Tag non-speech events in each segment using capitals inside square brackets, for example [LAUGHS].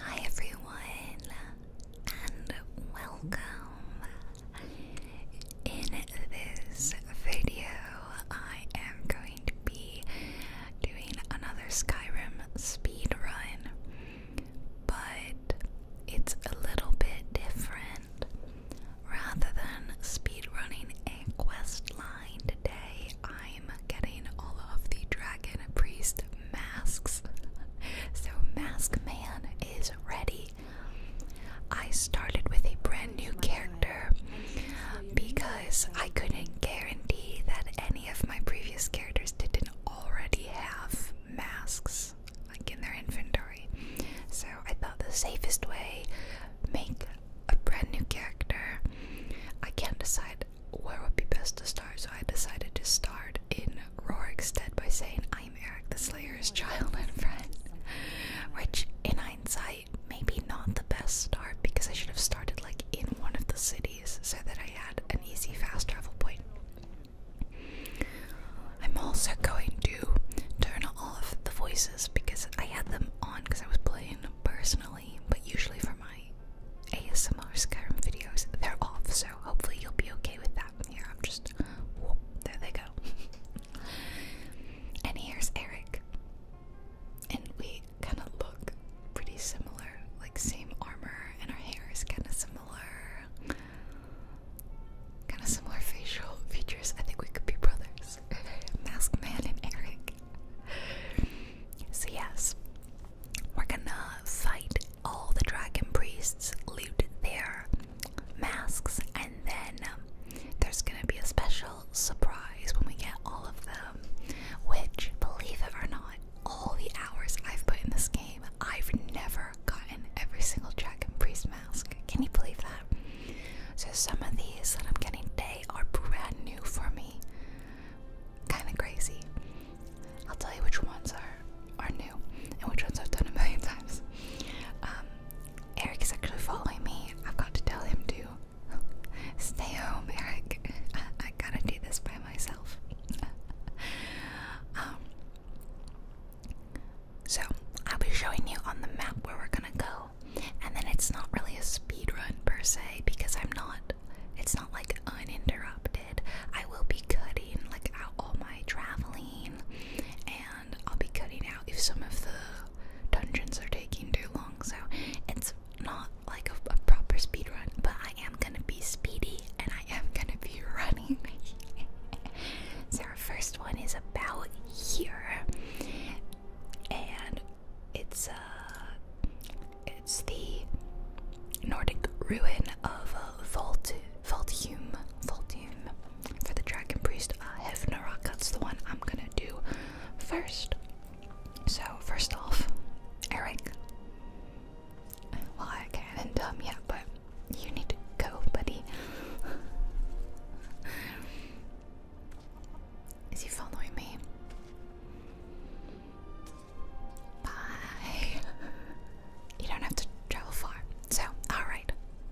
Hi everyone, and welcome. In this video, I am going to be doing another Skyrim speed run, but it's a little bit different. Rather than speed running a quest line today, I getting all of the dragon priest masks. So, Mask Man is ready. I started with a brand new character because I couldn't guarantee that any of my previous characters didn't already have masks like in their inventory. So, I thought the safest way make a brand new character. I can't decide where would be best to start, so I decided to start in Rorik's stead by saying I'm Eric the Slayer's oh child and [LAUGHS] friend. Which, in hindsight, maybe not the best start because I should have started like in one of the cities so that I had an easy fast travel point. I'm also going to turn off the voices because I had them on because I was playing personally but usually for my ASMR Skyrim videos, they're off, so hopefully you'll be okay with that. Here, I'm just. Whoop, there they go. [LAUGHS] and here's Eric. And we kind of look pretty similar, like same armor, and our hair is kind of similar. Kind of similar facial [LAUGHS] features. I think we could be brothers. [LAUGHS] Mask Man and Eric. So, yes, we're gonna fight all the dragon priests, loot their masks, and then um, there's gonna be a special surprise when we get all of them. Which, believe it or not, all the hours I've put in this game, I've never gotten every single dragon priest mask. Can you believe that? So, some of these that I'm getting today are brand new for me. Kind of crazy. I'll tell you which ones are are new and which ones I've done a million times. Um, Eric is actually following me. I've got to tell him to stay home, Eric. I, I gotta do this by myself. [LAUGHS] Um, so I'll be showing you on the map where we're gonna go, and then it's not really a speed run per se because I'm not it's not like uninterrupted. I will be cutting like out all my traveling and I'll be cutting out if some of the dungeons are taking too long. So it's not like a, a proper speed run, but I am gonna be speedy and I am gonna be [LAUGHS] running. so our first one is about here and it's uh it's the Nordic ruin of uh, Volt, Volthume, Volthume for the Dragon Priest uh, Hefnarok. That's the one I'm gonna do first. So first off, Eric. Well, I can't end yet, but you need to go, buddy. [LAUGHS] Is he following me? You don't have to travel far. So, alright.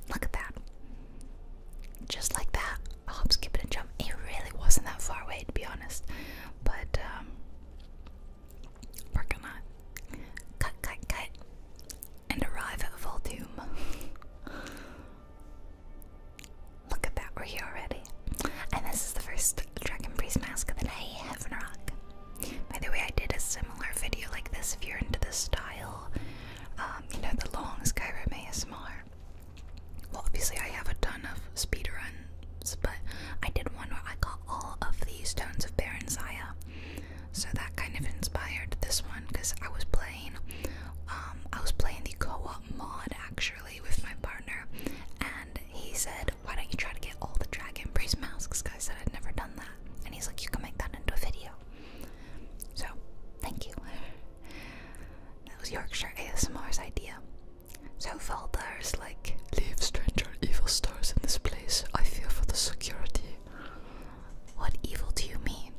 Look at that. Just like that, a hop, skip, and jump. It really wasn't that far away, to be honest. But, um, we cut, cut, cut, and arrive at Voldoom. Look at that, we're here already. And this is the first Dragon Priest Mask than I have By the way, I did a similar video like this if you're into the style. Um, you know, the long Skyrim ASMR. Well, obviously, I have a ton of speedruns, but I did one where I got all of these Stones of Baron Zaya. So that kind of inspired this one because I was playing, um, I was playing the co-op mod actually with my partner, and he said, why don't you try to get all the dragon priest masks? Cause I said I'd never done that. And he's like, you can make that into a video. So, thank you. That was Yorkshire ASMR's idea. So Valdar's like, leave stranger evil stars in this place. I feel for the security. What evil do you mean?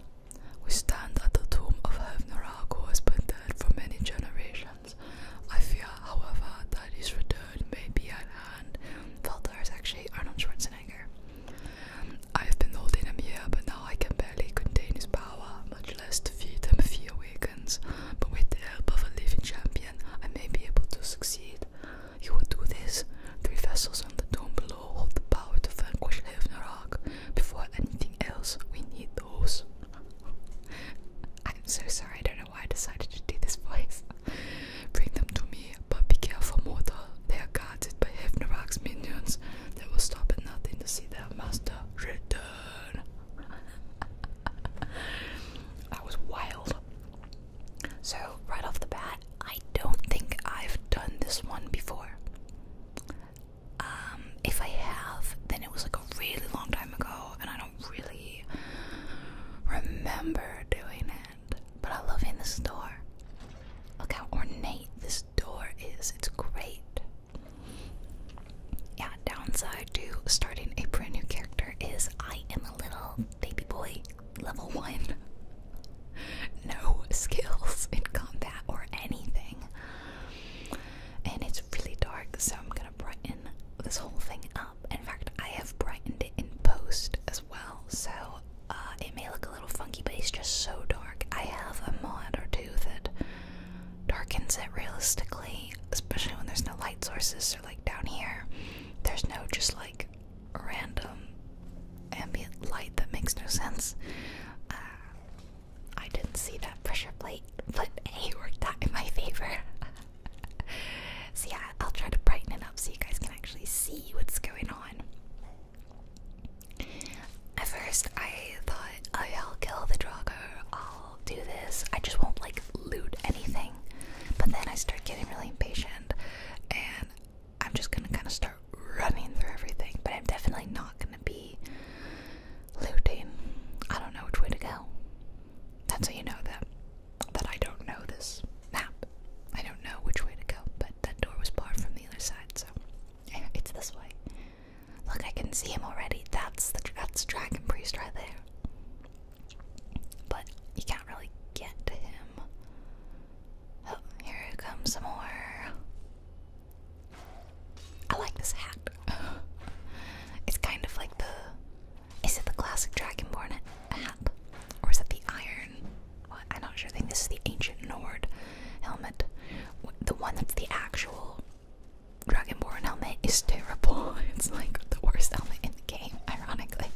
We stand at the tomb of Hevnarag, who has been dead for many generations. I fear, however, that his return may be at hand. Felder is actually Arnold Schwarzenegger. I've been holding him here, but now I can barely contain his power, much less defeat him if he awakens. But with the help of a living champion, I may be able to succeed. You will do this. Three vessels on the dome below hold the power to vanquish Hevnarok. Before anything else, we need those. [LAUGHS] I'm so sorry why I decided to do this voice. Bring them to me, but be careful, mortal. They are guarded by Hefnerak's minions. They will stop at nothing to see their master return. that [LAUGHS] was wild. So, right off the bat, I don't think I've done this one before. Um, if I have, then it was like a really long time ago, and I don't really remember doing it, but I love in this door. Look how ornate this door is. It's great. Yeah, downside to starting a brand new character is I am a little baby boy, level one. [LAUGHS] No skills in combat or anything. And it's really dark, so I'm gonna brighten this whole thing up. Um, in fact, I have brightened it in post as well, so uh, it may look a little funky, but it's just so dark. I have a mod or two that darkens it realistically, especially when there's no light sources. So, like down here, there's no just like random ambient light that makes no sense. Uh, I didn't see that pressure plate, but hey, it worked out in my favor. [LAUGHS] [LAUGHS] so yeah, I'll try to brighten it up so you guys can actually see what's going on. At first, I thought, oh yeah, I'll kill the Drago, I'll do this, I just won't like loot anything. But then I start getting really impatient and I'm just gonna kind of start running through everything, but I'm definitely not gonna be looting. I don't know which way to go. That's how you know that that I don't know this map. I don't know which way to go, but that door was barred from the other side, so yeah, [LAUGHS] it's this way. Look, I can see him already. That's the that's Dragon Priest right there. But you can't really get to him. Oh, here comes more. I like this hat. [LAUGHS] it's kind of like the is it the classic dragonborn hat? Or is it the iron? I'm not sure. I think this is the ancient Nord helmet. The one that's the actual dragonborn helmet is terrible. [LAUGHS] It's like the worst helmet in the game, ironically.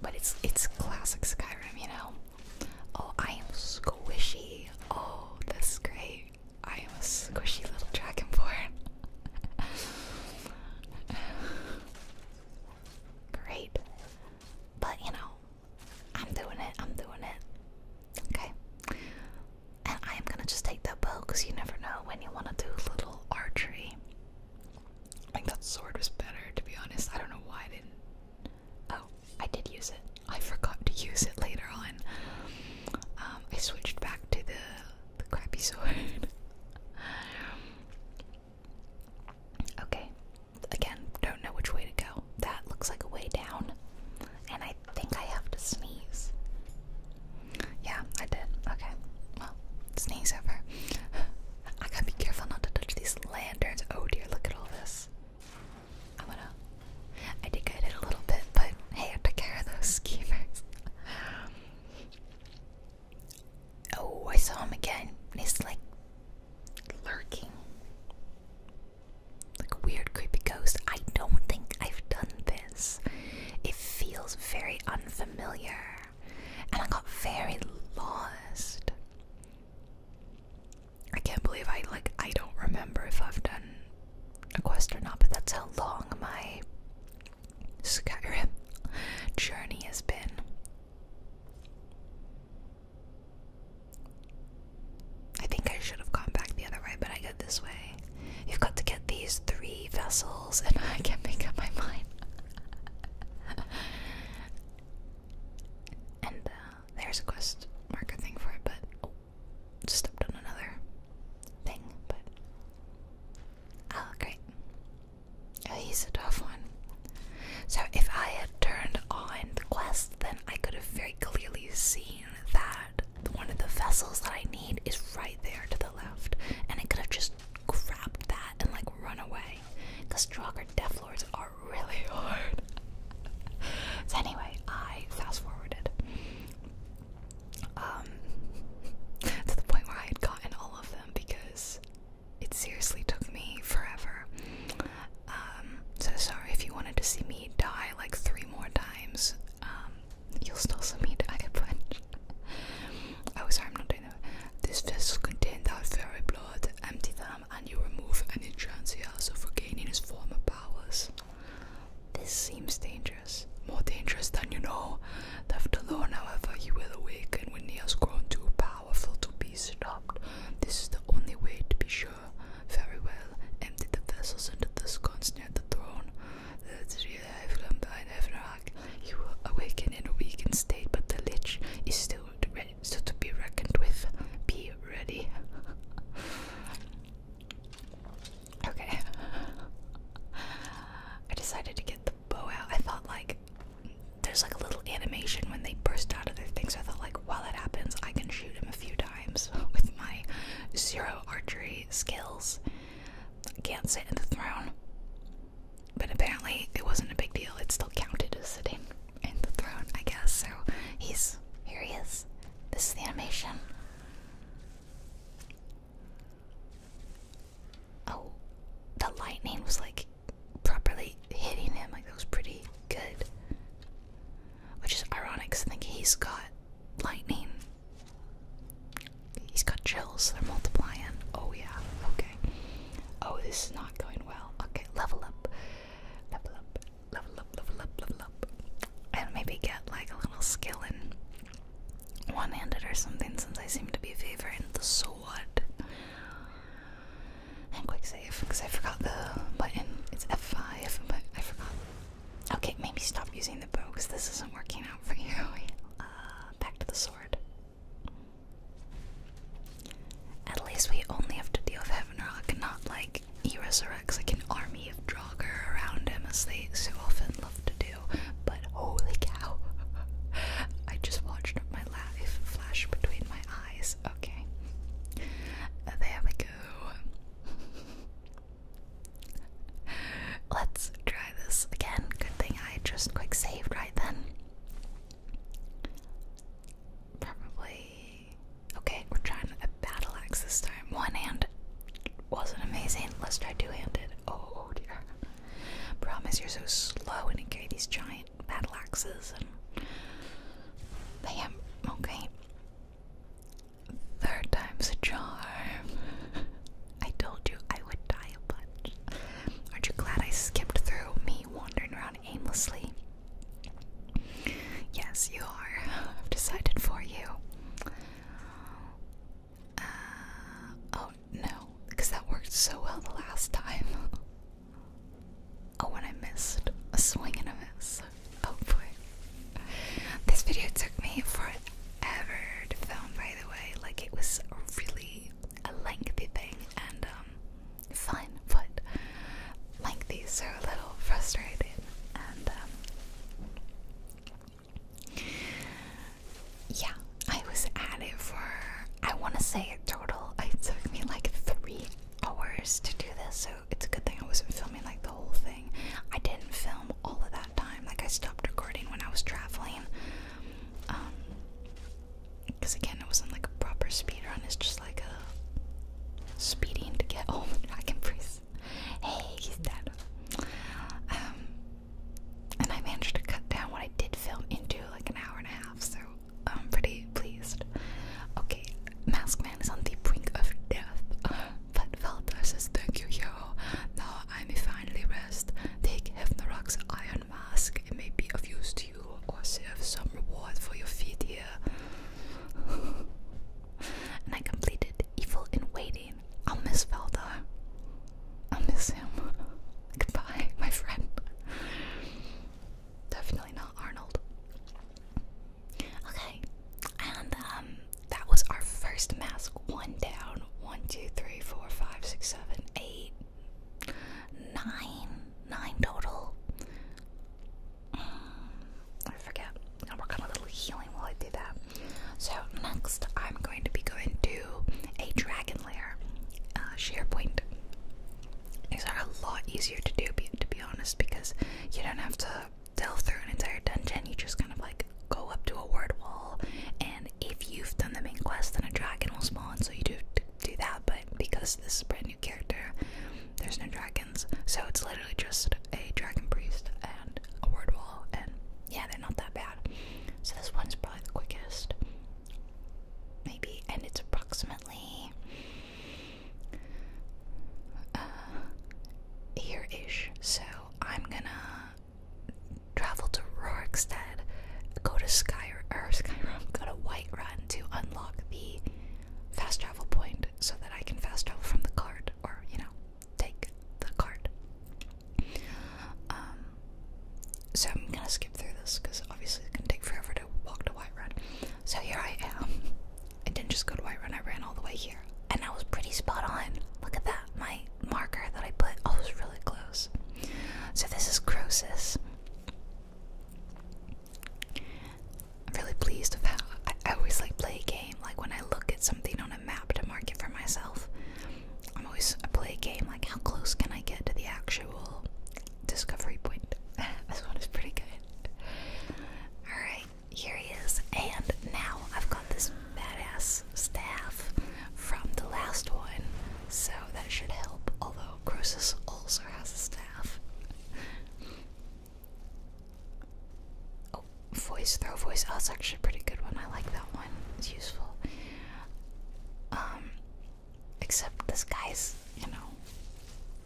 But it's it's classic Skyrim, you know. Oh, I am squishy. Oh, that's great. I am a squishy little dragonborn. [LAUGHS] [SIGHS] Great. But you know, I'm doing it, I'm doing it. Okay. And I am gonna just take that bow because you never know when you wanna do little archery. I think that sword was better to be honest. I don't know why I didn't Oh, I did use it. I forgot to use it later on. Um, I switched back to the the crappy sword. okay, again, don't know which way to go. That looks like a way down, and I think I have to sneeze. Yeah, I did. Okay, well, sneeze over. I gotta be careful not to touch these lanterns. Oh dear, look at all this. I'm gonna. I did get it a little bit, but hey, I took care of those schemers. [LAUGHS] Oh, I saw him again. And he's like lurking. Like a weird, creepy ghost. I don't think I've done this. It feels very unfamiliar. And I got very lost. I can't believe I like I don't remember if I've done a quest or not, but that's how long my Skyrim journey has been. I think I should have gone back the other way, but I go this way. You've got to get these three vessels, and [LAUGHS] I can't make up my mind. [LAUGHS] and uh, there's a quest marker thing for it, but just oh, stepped on another thing. But oh, great! Oh, he's a tough one. So, if I had turned on the quest, then I could have very clearly seen that one of the vessels that I need is right there to the left, and I could have just grabbed that and like run away. Because Draugr Death are [LAUGHS] really hard. so, anyway, I fast forwarded. Um, [LAUGHS] to the point where I had gotten all of them because it seriously took me forever. Um, so sorry if you wanted to see me die like three more times. Um, you'll still see me die a [LAUGHS] bunch. [LAUGHS] Oh, sorry, I'm not doing that. This vessel contained our very blood. Empty them, and you remove any chance he has of regaining his former powers. This seems dangerous more dangerous than you know. Left alone, however, he will awaken when he has grown too powerful to be stopped. This is the only way to be sure. Very well, empty the vessels and the scones near the throne. The have by an us He will awaken in a weakened state, but the lich is still still to be reckoned with. Be ready. [LAUGHS] Okay. [LAUGHS] I decided to get the the I thought like there's like a little animation when they burst out of their thing. So I thought like while that happens, I can shoot him a few times [LAUGHS] with my zero archery skills. Can't sit in the throne. But apparently it wasn't a big deal. It still counted as sitting in the throne, I guess. So he's here he is. This is the animation. Oh, the lightning was like properly hitting him. Like that was pretty good. Which is ironic I think he's got lightning. He's got chills. They're multiplying. Oh, yeah. Okay. Oh, this is not going well. Okay, level up. Level up. Level up, level up, level up. And maybe get like a little skill in one handed or something since I seem to be favoring the sword. And quick save because I forgot the button. It's F5, but I forgot. Okay, maybe stop using the bow because this isn't working out for you. [LAUGHS] Uh, back to the sword. At least we only have to deal with Heavenrock and not like he resurrects like an army of Draugr around him as they so often love to do but holy cow. [LAUGHS] I just watched my life flash between my eyes. Okay. Uh, there we go. [LAUGHS] Let's try this again. Good thing I just quick saved right then. Probably. Okay, we're trying a battle axe this time. One hand wasn't amazing. Let's try two handed. Oh dear. Promise you're so slow and you carry these giant battle axes and Bam, okay. Third time's a charm. [LAUGHS] I told you I would die a bunch. Aren't you glad I skipped through me wandering around aimlessly? Yes, you are. [LAUGHS] I've decided for you. Uh, oh no, because that worked so well the last time. [LAUGHS] oh, and I missed. A swing and a miss. Oh boy. This video took me forever to film, by the way. Like, it was really a lengthy thing and um, fun, but lengthy, so a little frustrating. And um, yeah, I was at it for I want to say a total. It took me like three hours to do this, so it's a good thing I wasn't filming like the whole thing. I didn't film all of that time. Like I stopped recording when I was traveling. Um, because again, it wasn't like a proper speed run. It's just like a speeding to get home. I can freeze. Hey, he's dead. Um, and I managed to cut down what I did film into like an hour and a half, so I'm pretty pleased. Okay, Maskman is on the brink of death, [LAUGHS] but Valda says, Thank you, yo. Now I may finally rest. Take Hefnarok's iron mask, it may be of use to you, or serve some reward for your feet here. [LAUGHS] and I completed Evil in Waiting. I'll miss Valda. I miss him. [LAUGHS] Goodbye, my friend. Definitely not Arnold. Okay, and um, that was our first mask. One down. One, two, three, four, five, six, seven, eight, nine. Nine total. Mm, I forget. I'll work on a little healing while I do that. So next, I'm going to be going to a dragon uh, SharePoint. These are a lot easier to do, to be honest, because you don't have to delve through an entire dungeon. You just kind of like go up to a word wall, and if you've done the main quest, then a dragon will spawn. So you do do that. But because this is brand new character, there's no dragons, so it's literally just a dragon priest and a word wall. And yeah, they're not that bad. So this one's probably the quickest maybe, and it's approximately here uh, ish. So I'm gonna travel to Rorikstead, go to Sky or Skyrim, go to Whiterun to unlock the fast travel point so that I can fast travel from the cart, or you know take the cart. Um, so I'm gonna skip through this because obviously it's gonna take forever to walk to Whiterun. So here I am. [LAUGHS] I didn't just go to Whiterun, I ran all the way here. And I was pretty spot on. Look at that, my marker that I put. Oh, I was really close. So this is Croesus. I'm really pleased with how I always like play a game. Like when I look at something on a map to mark it for myself, I'm always I play a game like how close can I get to the actual discovery point? [LAUGHS] this one is pretty good. Alright, here he is. And now I've got this badass staff from the last one. So that should help, although Croesus also has a staff. Oh, voice throw voice. Oh, that's actually a pretty good one. I like that one. It's useful. Um, Except this guy's, you know.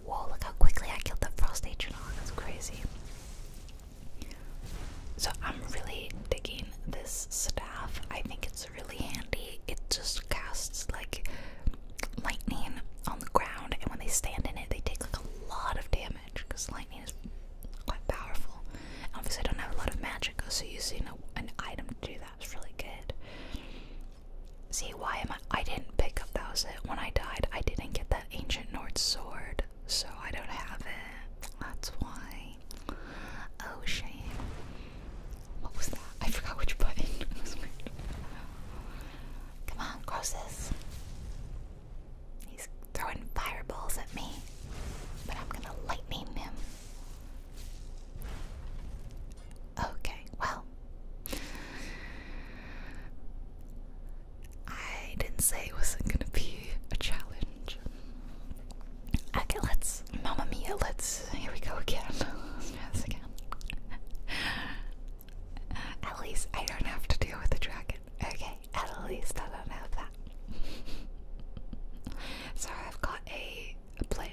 Whoa, look how quickly I killed that frost atronach. That's crazy. So I'm really digging this staff. I think it's really handy. It just casts like lightning on the ground, and when they stand in it, they take like a lot of damage because lightning is quite powerful. Obviously, I don't have a lot of magic, so using an item to do that that was really good. See, why am I? I didn't pick up that was it. When I died, I didn't get that ancient Nord sword, so I don't have it. That's why. Oh, shame. What was that? I forgot which button. Come on, Croesus. He's throwing fireballs at me, but I'm gonna lightning him. Okay, well, I didn't say it wasn't gonna be a challenge. Okay, let's, Mamma Mia, let's, here we go again. [LAUGHS] let again. At least I don't have to deal with the dragon. Okay, at least I don't have that. so I've got a a plan.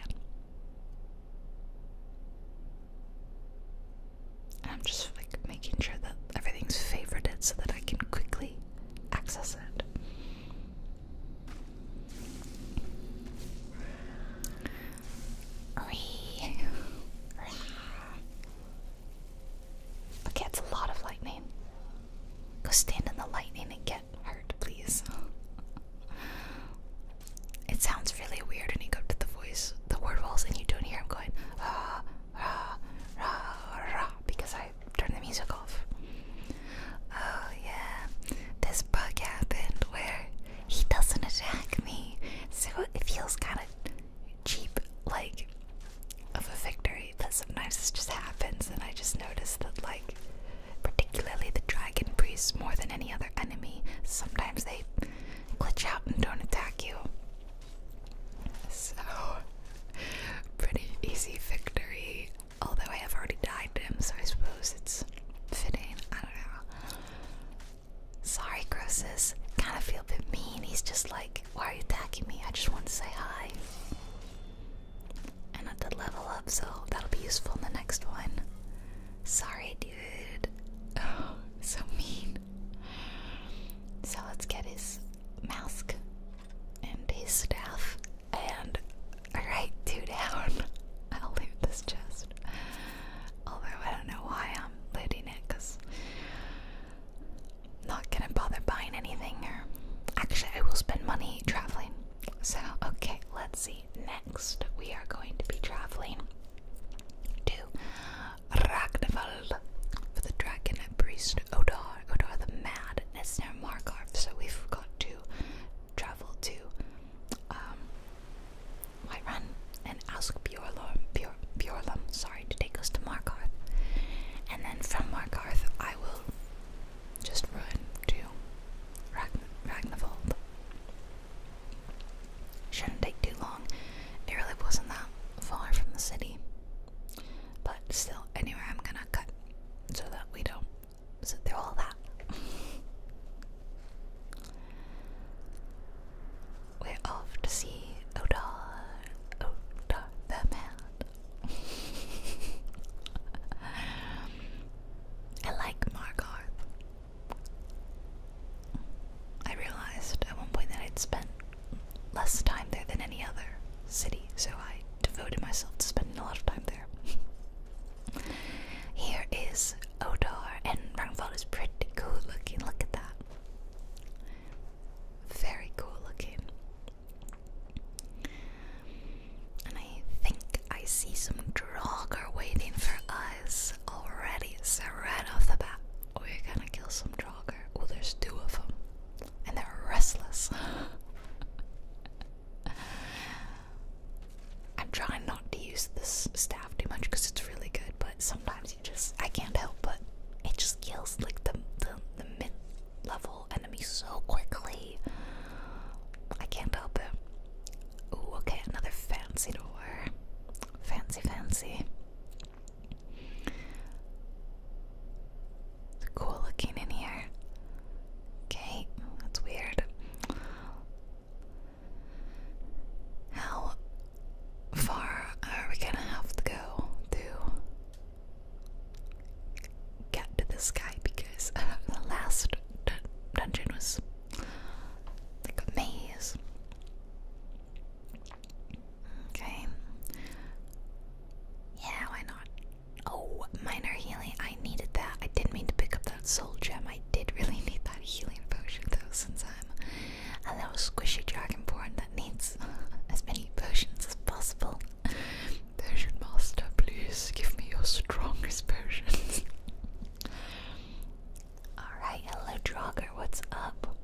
I'm just like making sure that everything's favorited so that I can quickly access it. Okay, it's a lot of lightning. Go stand in the lightning and hurt, please. It sounds really weird when you go to the voice, the word walls, and you don't hear him going rah, rah, rah, rah, because I turned the music off. Oh, yeah, this bug happened where he doesn't attack me, so it feels kind of cheap, like of a victory, That sometimes this just happens, and I just notice that, like, particularly the dragon priests, more than any other enemy. Sometimes they glitch out and don't attack you. So, pretty easy victory. Although I have already died him, so I suppose it's fitting. I don't know. Sorry, Croesus. Kind of feel a bit mean. He's just like, why are you attacking me? I just want to say hi and I level up, so that'll be useful in the next one. Sorry, dude. [LAUGHS] Oh, so mean. So let's get his mask and his staff. And alright, two down. [LAUGHS] I'll leave this chest. Although I don't know why I'm loading it, because I'm not gonna bother buying anything. Or actually, I will spend money traveling. So okay, let's see next we are going to be traveling to Ragnvald for the dragon priest Odar, Odar the Mad, and it's near so we've got to travel to um, Whiterun and ask Bjorlum, Bjor, sorry, to take us to Markarth. And then from Markarth I will just run to Ragn Shouldn't take too long. It wasn't that far from the city. But still, anyway, I'm gonna cut so that we don't sit through all that. [LAUGHS] We're off to see Odar, Odar the man. [LAUGHS] I like Margarth. I realized at one point that I'd spent less time there than any other city, so I devoted myself to spending a lot of time there. [LAUGHS] Here is Odar, and Rangfall is pretty cool looking. Look at that. Very cool looking. And I think I see some Draugr waiting for us already. So right off the bat, we're gonna kill some Draugr. Oh, there's two of them. And they're restless. [LAUGHS] I'm trying not to use this staff too much because it's really good, but sometimes you just, I can't help but it just kills like the, the, the mid level enemy so quickly. I can't help it. Ooh, okay, another fancy door. Fancy, fancy. cool looking in here. Okay, that's weird. How far are we gonna have to go to get to the sky? Because [LAUGHS] the last dungeon was like a maze. Okay. Yeah, why not? Oh, minor healing. I needed that. I didn't mean to pick up that soul gem. I did really [LAUGHS] need that healing potion though, since I'm a little squishy dragonborn that needs [LAUGHS] as many potions as possible. Potion master, please give me your strongest potions. [LAUGHS] Alright, hello Draugr, what's up?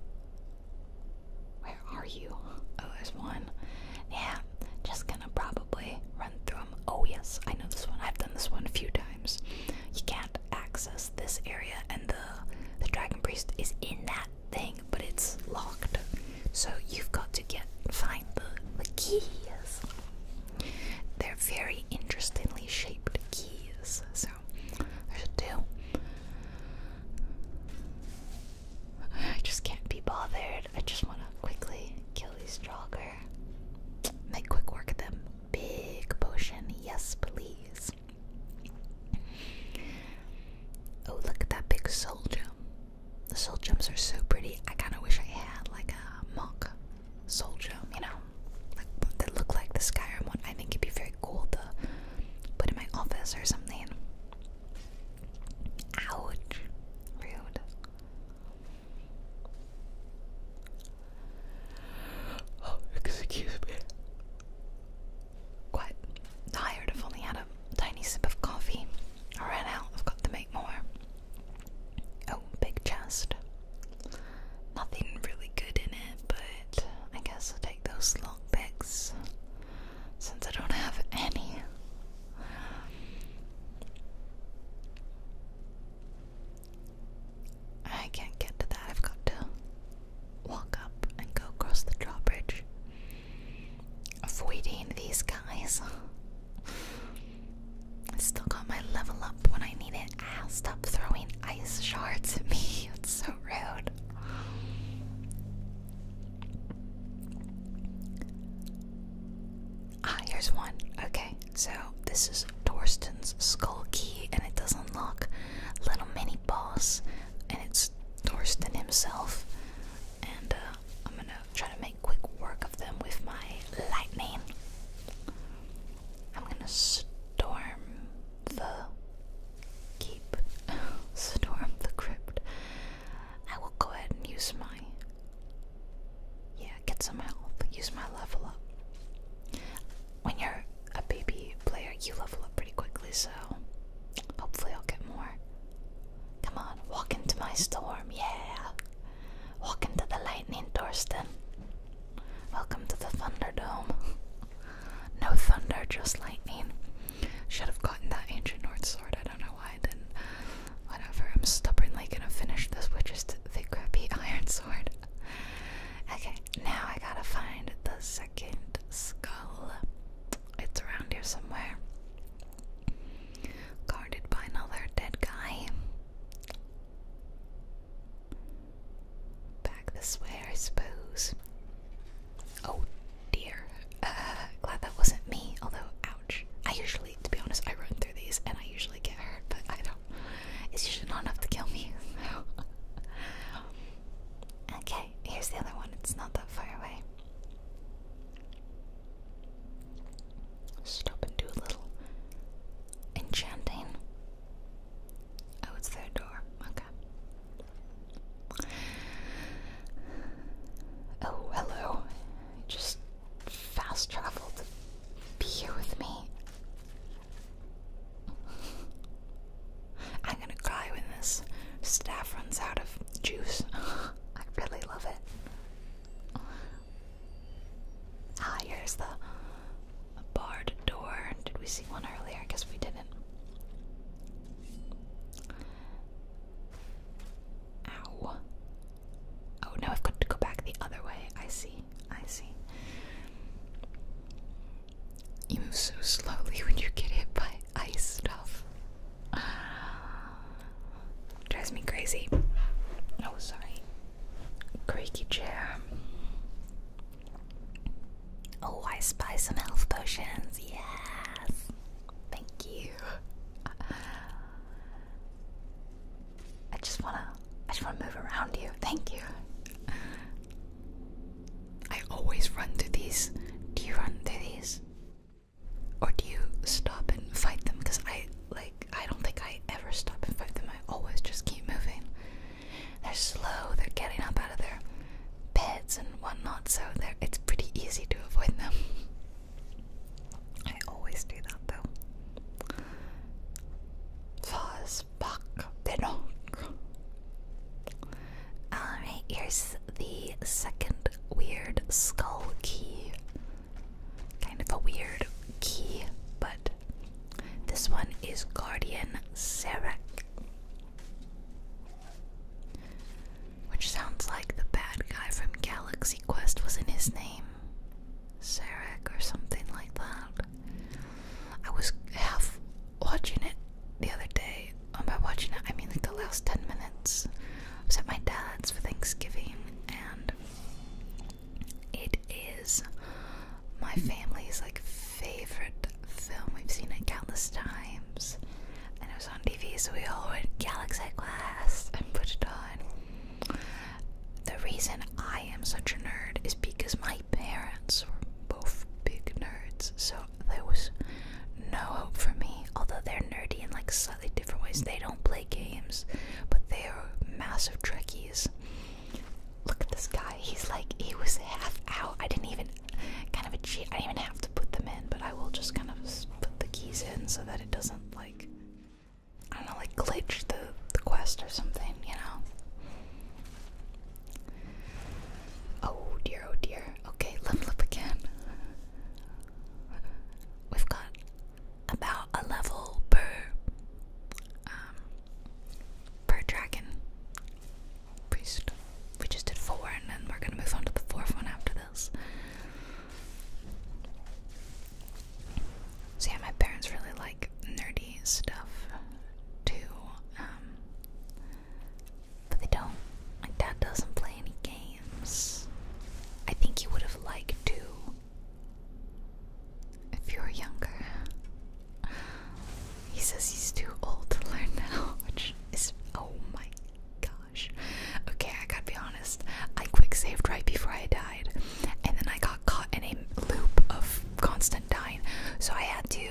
Where are you? Oh, there's one. Yeah, just gonna probably run through them. Oh, yes, I know this one. I've done this one a few times. You can't access this area, and the, the Dragon Priest is in that thing, but it's locked. So you've got to get find the, the keys. They're very interestingly shaped keys, so there's two. I just can't be bothered. I just want to quickly kill these jogger. Make quick work of them. Big potion, yes, please. Oh, look at that big soul gem. The soul gems are so pretty. I kind of wish I had like a monk soul gem, you know? like that look like the Skyrim one. I think it'd be very cool to put in my office or something. Ouch. Rude. Oh, excuse me. Quite tired. i only had a tiny sip of coffee. I ran I've got to make more. Oh, big chest. Nothing really good in it, but I guess I'll take those long picks since I don't have any. I can't get to that. I've got to walk up and go across the drawbridge, avoiding these guys. I still got my level up when I need it. stop throwing ice shards at me. [LAUGHS] It's so rude. Ah, here's one. Okay, so this is Torsten's skull key, and it does unlock little mini boss, and it's Torsten himself. And uh, I'm gonna try to make quick work of them with my lightning. I'm gonna storm the keep. [LAUGHS] storm the crypt. I will go ahead and use my. Yeah, get some health. Use my level up. When you're a baby player, you level up pretty quickly, so hopefully I'll get more. Come on, walk into my storm, yeah! Walk into the lightning, Thorsten. Welcome to the Thunderdome. [LAUGHS] no thunder, just lightning. Should have gotten that ancient North sword. I don't know why I didn't. Whatever. I'm stubbornly gonna finish this witch's the crappy [LAUGHS] iron sword. okay, now I gotta find the second skull. It's around here somewhere. Guarded by another dead guy. Back this way, I suppose. Oh dear. Uh, glad that wasn't me, although, ouch. I usually, to be honest, I run through these and I usually get hurt, but I don't. It's usually not enough to kill me. [LAUGHS] okay, here's the other one. It's not that far away. Stop and do a little enchanting. Oh, it's their door. Okay. Oh, hello. just fast traveled be here with me. I'm gonna cry when this staff runs out of juice. [LAUGHS] I really love it. Ah, here's the barred door. Did we see one earlier? I guess we didn't. Ow. Oh no, I've got to go back the other way. I see. I see. You move so slowly [LAUGHS] when you get hit by ice stuff. [SIGHS] Drives me crazy. Oh, sorry creaky chair. Oh, I spy some health potions. Yes, thank you. I just wanna, I just wanna move around you. Thank you. I always run through these. Do you run through these, or do you stop and fight them? Because I like. I don't think I ever stop and fight them. I always just keep moving. They're slow. They're getting up out of their beds and whatnot, so it's pretty easy to avoid them. I always do that though. Fuzz, buck, dino. Alright, um, here's the second weird skull key. Kind of a weird key, but this one is Guardian Serac, which sounds like the bad guy from Galaxy Quest was in his name, Serac or something like that. I was half watching it the other day. Um, by watching it, I mean like the last ten minutes. I was at my dad's for Thanksgiving, and it is my family's like favorite film. We've seen it countless times, and it was on TV, so we all went Galaxy Quest and put it on. The reason I am such a nerd is because my parents were both big nerds, so there was no hope for me. Although they're nerdy in like slightly different ways, they don't play games, but they are massive Trekkies. Look at this guy. He's like, he was half out. I didn't even, kind of cheat. I didn't even have to put them in, but I will just kind of put the keys in so that it doesn't, like, I don't know, like glitch the, the quest or something, you know? Oh dear, oh dear. Okay, level up again. We've got about a level per um, per dragon priest. We just did four, and then we're gonna move on to the fourth one after this. See, yeah, my parents really like nerdy stuff too, um, but they don't. My dad doesn't play any games. I think he would have liked to if you're younger, he says he's too old to learn now, [LAUGHS] which is oh my gosh. Okay, I gotta be honest. I quick saved right before I died, and then I got caught in a loop of constant dying, so I had to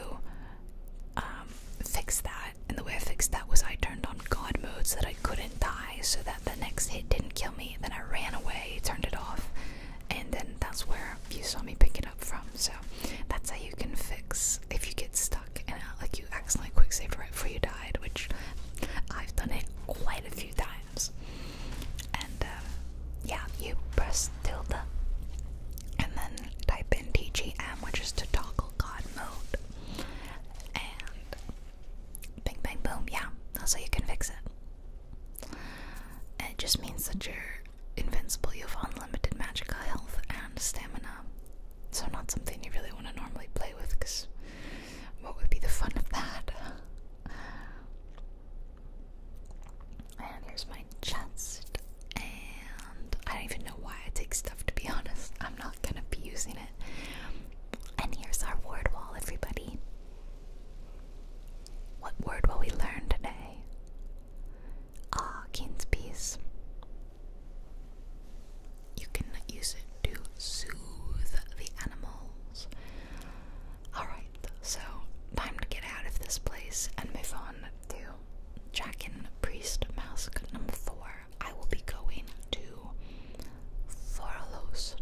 um, fix that. And the way I fixed that was I turned on God mode so that I couldn't die, so that the next hit didn't kill me. Then I ran away, turned it off, and then that's where you saw me pick it up from. So that's how you can fix if you get stuck and like you accidentally quick saved right before you died, which I've done it quite a few times. And uh, yeah, you press tilde and then type in TGM, which is to toggle God mode. And bing, bang, boom, yeah, that's how you can fix it. it just means that you're invincible, you have unlimited magicka health and stamina. So, not something you really want to normally play with because what would be the fun of that? And here's my chest. And I don't even know why I take stuff to be honest. I'm not gonna be using it. And here's our ward wall, everybody. What word will we learn today? Ah, King's Peace. You can use it to soothe the animals. Alright, so time to get out of this place and move on to Dragon Priest Mask number 4. I will be going to Forlost,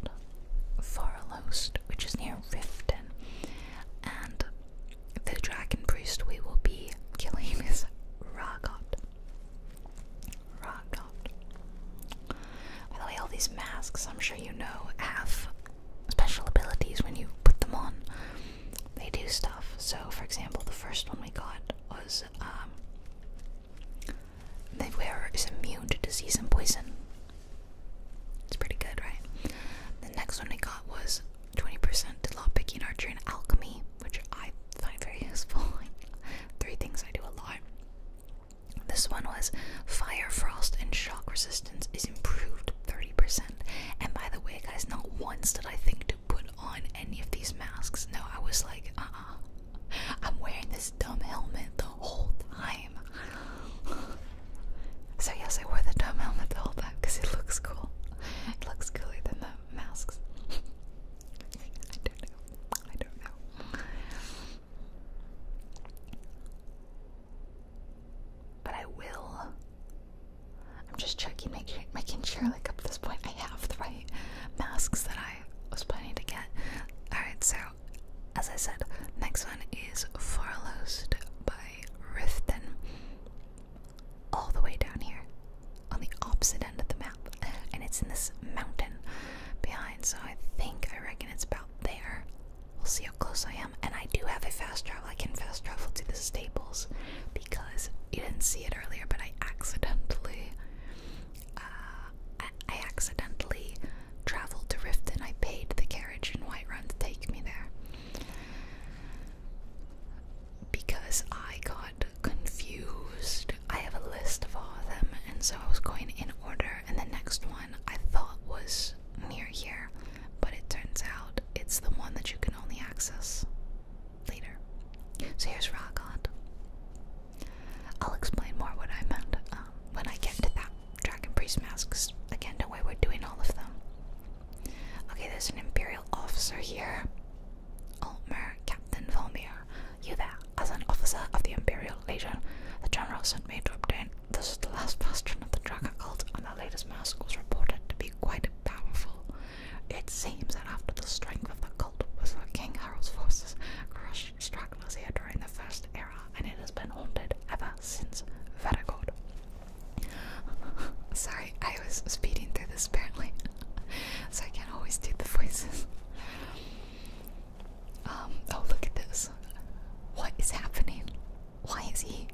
Forlost, which is near Riften, and the dragon priest we will be killing is Ragot. Ragot. By the way, all these masks, I'm sure you know, have special abilities when you put them on. They do stuff. So, for example, the first one we got was um, the wearer is immune to disease and poison. It's pretty good, right? The next one I got was 20% to law picking archery and alchemy, which I find very [LAUGHS] useful. Three things I do a lot. This one was fire, frost, and shock resistance is improved 30%. And by the way, guys, not once did I think to put on any of these masks. No, I was like, ah, uh-uh. i am wearing this dumb helmet the whole time. [SIGHS] So yes, I wore the dome helmet the whole time because it looks cool. It looks cooler than the masks. [LAUGHS] I don't know. I don't know. But I will. I'm just checking, making, making sure, like up this point, I have the right masks that I was planning to get. Alright, so as I said, next one is Far Lost by Ruthven, all the way down here on the opposite end of the map, [LAUGHS] and it's in this mountain behind. So I think I reckon it's about there. We'll see how close I am. And I do have a fast travel. I can fast travel to the stables, because you didn't see it earlier, but I accidentally, uh, I, accidentally traveled to Riften. I paid the carriage in Run to take me there because I got confused. I have a list of all of them, and so I was going in order, and the next one I thought was near here, but it turns out it's the one that you can only access later. So here's Ragot. I'll explain more what I meant um, when I get to that Dragon Priest masks. Again, don't worry, we're doing all of them. Okay, there's an Imperial officer here. Ulmer, Captain Volmir, you there, as an officer of the Imperial Legion, the general sent me to obtain. This is the last bastion of the Dragon cult, and the latest mass was reported to be quite powerful. It seems that after the strength of the cult was what King Harold's forces crushed stragglers here during the First Era, and it has been haunted ever since Verigord. [LAUGHS] Sorry, I was speeding through this apparently, [LAUGHS] so I can't always do the voices. [LAUGHS] Um, oh, look at this. What is happening? Why is he.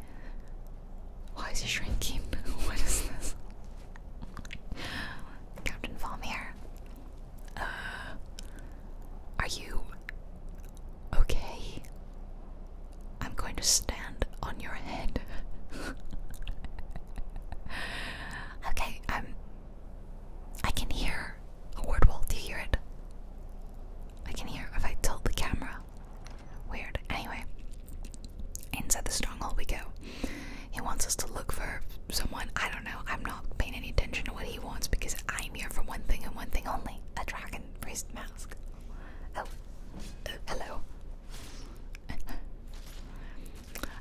Why is he shrinking? what is this? Captain Valmir. Uh, are you. Okay. I'm going to stand on your head. [LAUGHS] okay, I'm. I can hear a word wall. Do you hear it? I can hear if I tilt the camera. Weird. Anyway, inside the stronghold we go. He wants us to look for someone. I don't know. I'm not paying any attention to what he wants because I'm here for one thing and one thing only a dragon priest mask. Oh, hello.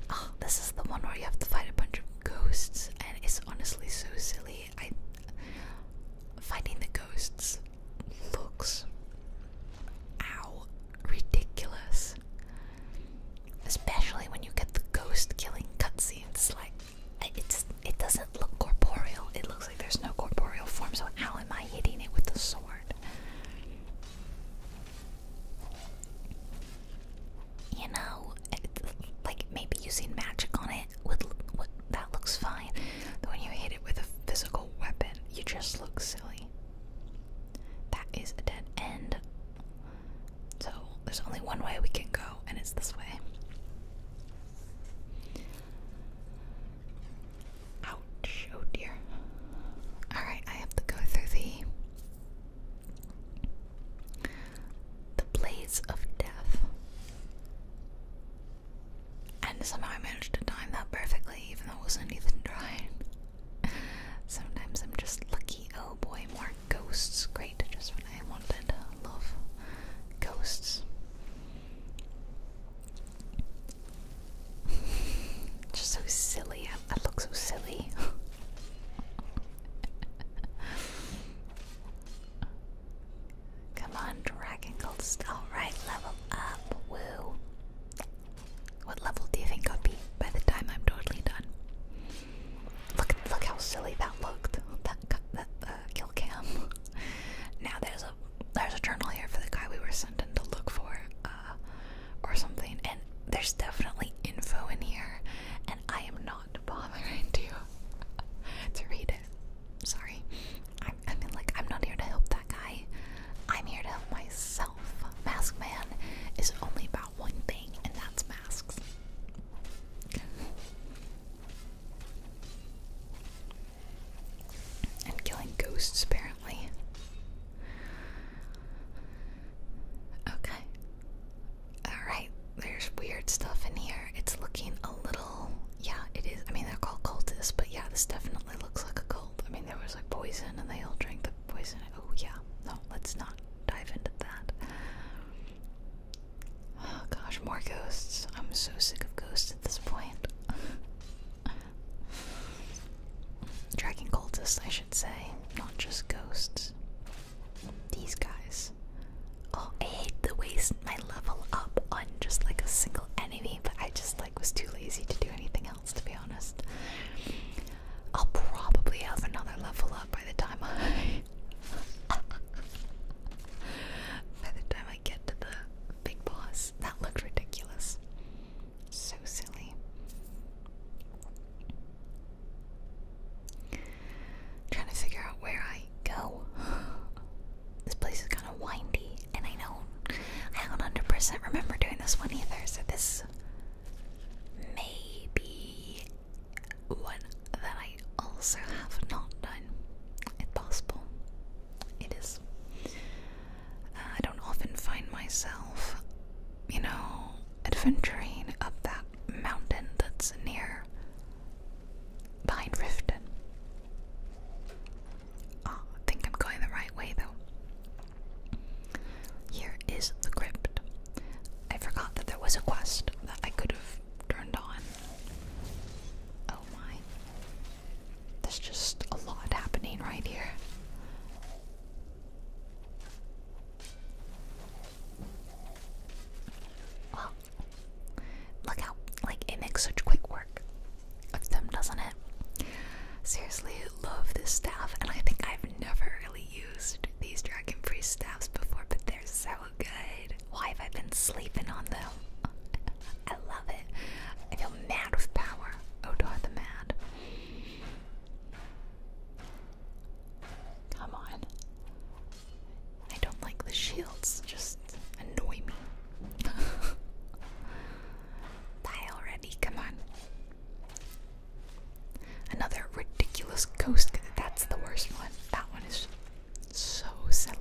oh, this is the one where you have to fight a bunch of ghosts, and it's honestly so silly. I finding the ghosts looks ow ridiculous, especially when you get the ghost killing cutscenes. Like it's it doesn't look corporeal. It looks like there's no corporeal form. So how am I hitting it with the sword? You know, like maybe using magic on it would, that looks fine. But when you hit it with a physical weapon, you just look silly. That is a dead end. So there's only one way we can go, and it's this way. Ouch, oh dear. Alright, I have to go through the the blaze of death. And somehow I managed to time that perfectly, even though it wasn't even trying. Sometimes I'm just lucky. Oh boy, more ghosts. Great, just when I wanted. Love ghosts. [LAUGHS] Just so silly. I, I look so silly. Come on, Dragon Gold. Alright, level up. Woo. What level do you think I'll be by the time I'm totally done? Look, look how silly that looked. That, uh, kill cam. [LAUGHS] now there's a there's a journal here for the guy we were sent in to look for, uh, or something. And there's definitely info in here, and I am not bothering to [LAUGHS] to read it. Sorry, I mean, like, I'm not here to help that guy. I'm here to help myself. Mask Man is only about one thing, and that's masks. And killing ghosts, apparently. Okay. Alright, there's weird stuff in here. It's looking a little. Yeah, it is. I mean, they're called cultists, but yeah, this definitely looks like a cult. I mean, there was like poison and they all drank the poison. Oh, yeah. No, let's not dive into that. Oh gosh, more ghosts. I'm so sick of ghosts at this point. [LAUGHS] Dragon cultists, I should say, not just ghosts. These guys. Oh, I hate the waste my level up on just like a single enemy, but I just like was too lazy to do anything else to be honest. I'll probably have another level up by the time I [LAUGHS] by the time I get to the big boss. That looked ridiculous. So silly. trying to figure out where I go. [SIGHS] This place is kind of windy, and I do I don't hundred percent remember doing this one either. So this may be one that I also have not done. It's possible. It is. I don't often find myself, you know, adventuring up that mountain that's near behind Riften. Ah, I think I'm going the right way though. Here is the crypt. I forgot that there was a quest that I could have turned on. Oh my. There's just a lot happening right here. Well, look how, like, it makes such quick work of them, doesn't it? Seriously, love this staff, and I think I've never really used these Dragon Priest staffs before, but they're so good. Why have I been sleeping on them? [LAUGHS] I love it. I feel mad with power. Odar oh, the Mad. Come on. I don't like the shields, just annoy me. [LAUGHS] Die already, come on. Another ridiculous ghost, that's the worst one. That one is so silly.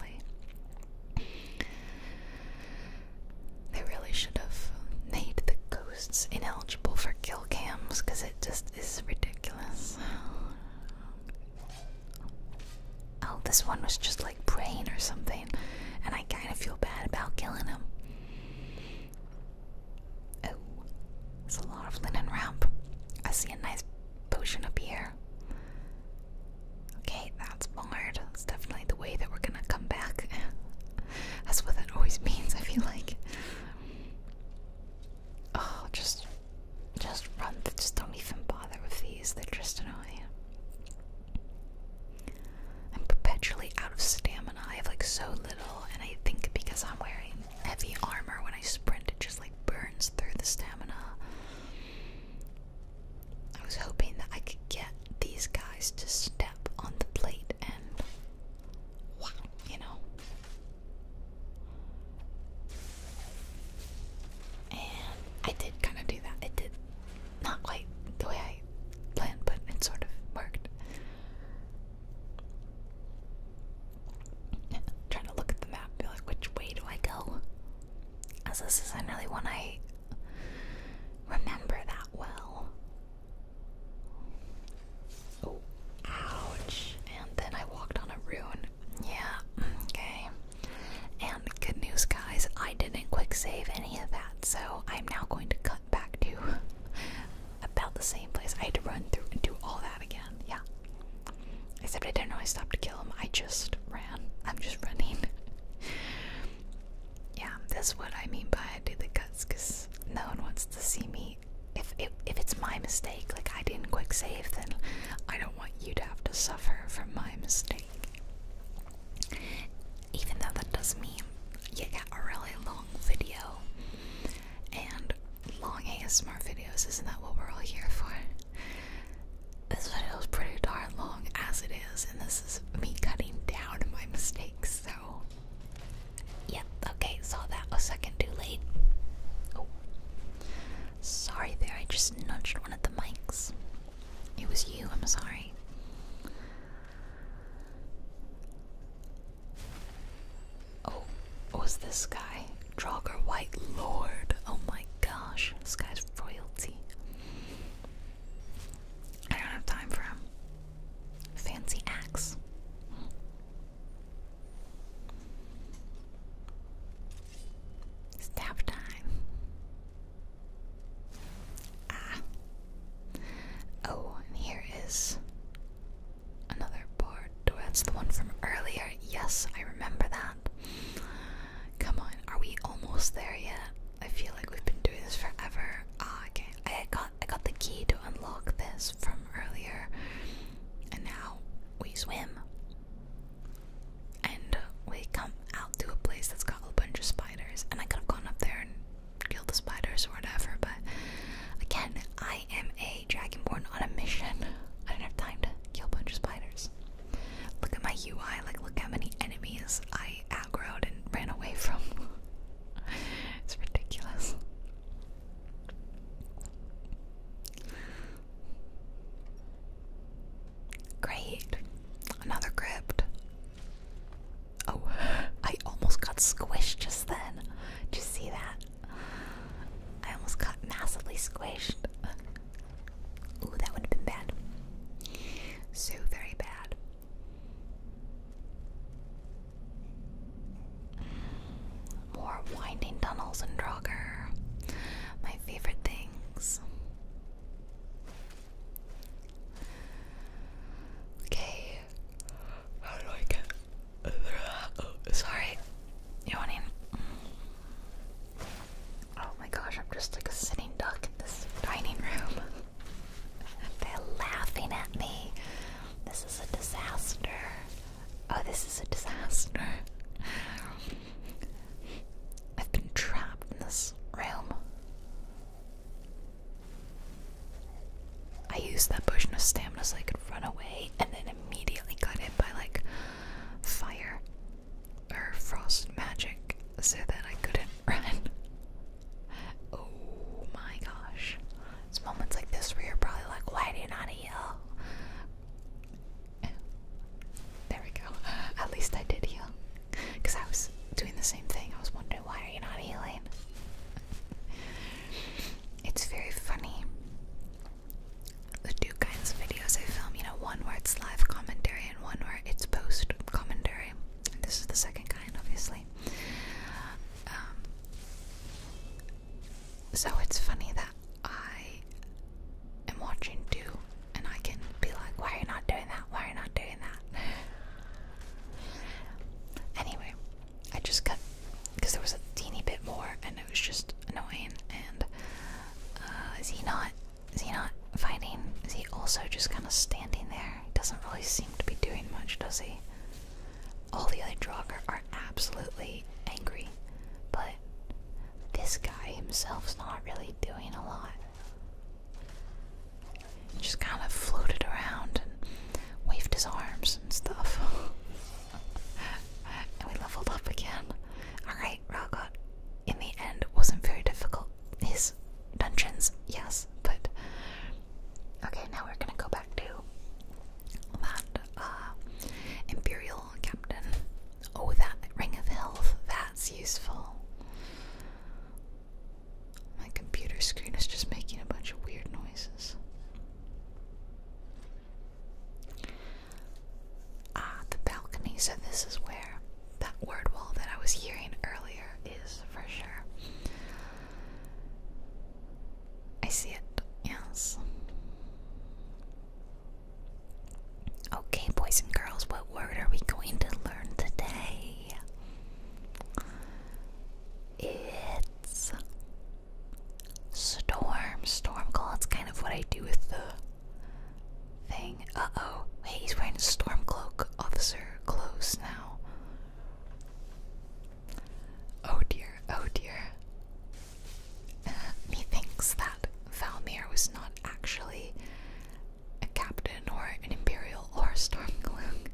They really should have made the ghosts ineligible for kill cams because it just is ridiculous. Oh, this one was just like praying or something, and I kind of feel bad about killing him. Oh, there's a lot of linen ramp. I see a nice potion up here. Okay, that's barred. That's definitely the way that we're gonna come back. [LAUGHS] that's what that always means, I feel like. Oh, just just run just don't even bother with these. They're just annoying. I'm perpetually out of stamina. I have like so little and I think because I'm wearing heavy armor when I sprint it just like burns through the stamina. I was hoping that I could get these guys to step on the plate and wow, you know. And I did kind of do that. It did not quite the way I planned, but it sort of worked. I'm trying to look at the map, be like, which way do I go? As this isn't really one I remember that well. Oh, ouch. And then I walked on a rune. Yeah, okay. And good news, guys, I didn't quick save any of that, so I'm now going to cut back to [LAUGHS] about the same place. I had to run through and do all that again. Yeah. Except I didn't know I stopped to kill him. I just ran. I'm just running. [LAUGHS] yeah, that's what I mean by do the cuts because no one wants to see me. If, if if it's my mistake, like I didn't quick save, then I don't want you to have to suffer from my mistake. Even though that does not mean you get a really long video, and long smart videos, isn't that what we're all here for? This video is pretty darn long as it is, and this is me cutting down my mistake so. Yep, okay, saw that a second too late. Oh. Sorry there, I just nudged one of the mics. It was you, I'm sorry. Oh, was this guy? Draugr White Lord. Oh my gosh, this guy's royalty. I don't have time for him. Fancy axe. Stab time. Ah. Oh, and here is another board. Oh, that's the one from earlier. Yes, I remember that. Come on, are we almost there yet? I feel like we've been doing this forever. Ah, okay. I got I got the key to unlock this from earlier, and now we swim, and we come out to a place that's got a bunch of spiders. And I could have gone up there and killed the spiders or whatever, but again, I am a dragonborn on a mission. I don't have time to kill a bunch of spiders. Look at my UI. Like, look how many enemies I aggroed and ran away from. [LAUGHS] it's ridiculous. Great. Another crypt. Oh, I almost got squished just then. Did you see that? I almost got massively squished. Ooh, that would have been bad. So very bad. More winding tunnels and Draugr. My favorite things. Okay. How do I get. Oh, sorry. You want in? Oh my gosh, I'm just like a sitting duck in this dining room. They're laughing at me. This is a disaster. Oh, this is a disaster. I've been trapped in this realm. I used that potion of stamina so I could run away and then immediately got hit by like fire or frost magic so that I couldn't [LAUGHS] run. Oh my gosh. It's moments like this where you're probably like, why do you not heal? There we go. At least I did heal. Because I was doing the same thing. I was wondering, why are you not healing? it's very funny. The two kinds of videos I film, you know, one where it's live commentary and one where it's post commentary. this is the second kind, obviously. Um, so it's funny that I am watching two and I can be like, why are you not doing that? Why are you not doing that? anyway, I just cut because there was a teeny bit more and it was just annoying. And uh, is he not? Is he not finding? Is he also just kind of standing there? doesn't really seem to be doing much, does he? All the other Draugr are absolutely angry, but this guy himself's not really doing a lot. just kind of floated around and waved his arms and stuff. [LAUGHS] and we leveled up again. Alright, Ragot, in the end, wasn't very difficult. His dungeons, yes, but Okay, now we're gonna go back to that uh, Imperial Captain. Oh, that Ring of Health. That's useful. My computer screen is just making a bunch of weird noises. Ah, the balcony. So, this is where that word wall that I was hearing earlier is for sure. I see it, yes. Okay, boys and girls, what word are we going to learn today? It's storm, storm call. It's kind of what I do with the thing. Uh oh, wait, he's wearing a stormcloak, officer clothes now. Oh dear, oh dear. [LAUGHS] methinks that Valmir was not actually a captain or an imperial or a stormcloak.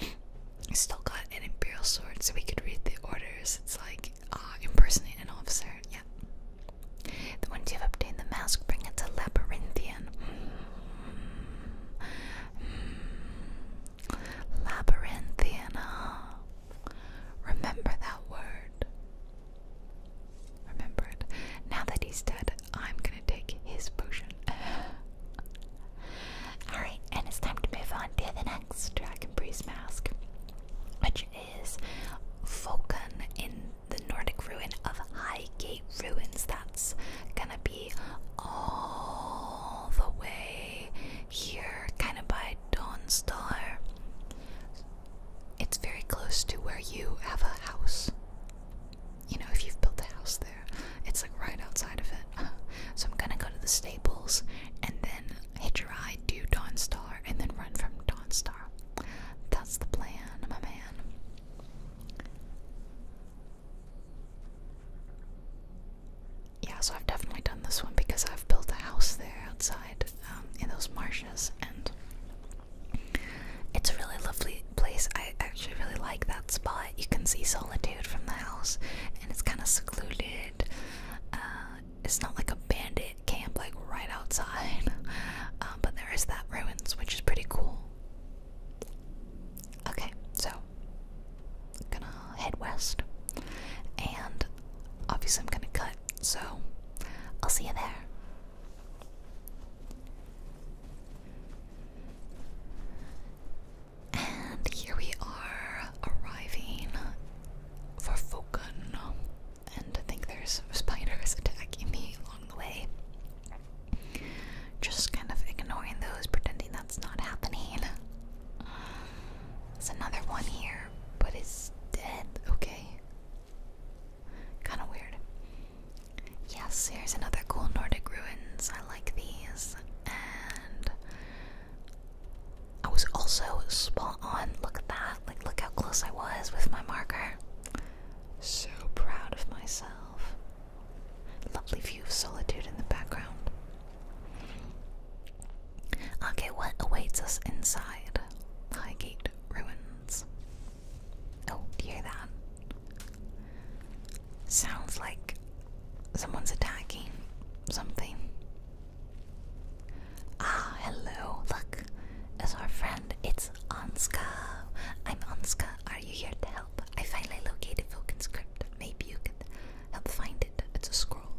I still got an imperial sword so we could read the orders. It's like, ah, impersonate an officer. Yeah. The you've obtained the mask bring it to Labyrinthian. Mm. Remember that word. Remember it. Now that he's dead, I'm gonna take his potion. [GASPS] Alright, and it's time to move on to the next Dragon Breeze mask, which is Vulcan in the Nordic ruin of Highgate Ruins. That's gonna be all the way here, kind of by Donstar. It's very close to where you have a house. You know, if you've built a house there, it's like right outside of it. [LAUGHS] So I'm gonna go to the Staples and then hit your eye, to Dawnstar, and then run from Dawnstar. That's the plan, my man. Yeah, so I've definitely done this one because I've built a house there outside um, in those marshes, and it's a really lovely place. I actually really like that spot. You can see solitude from the house, and it's kind of secluded. Uh, it's not like a bandit camp, like right outside, [LAUGHS] uh, but there is that ruins, which is pretty cool. Okay, so gonna head west, and obviously I'm gonna cut. So I'll see you there. And here we are arriving for Fokan. And I think there's spiders [LAUGHS] attacking me along the way. Just kind of ignoring those, pretending that's not happening. There's another one here, but it's dead, okay? Kinda weird. Yes, here's another cool Nordic ruins. I like these. And I was also spot on. Look at that. Like, look how close I was with my marker. So proud of myself. Lovely view of solitude in the background. Okay, what awaits us inside? Highgate ruins. Oh, do hear that? Sounds like someone's attacking something. Ah, hello. Look, it's our friend. It's Anska. I'm Anska. Are you here to help? I finally located Vulcan script. Maybe you could help find it. It's a scroll.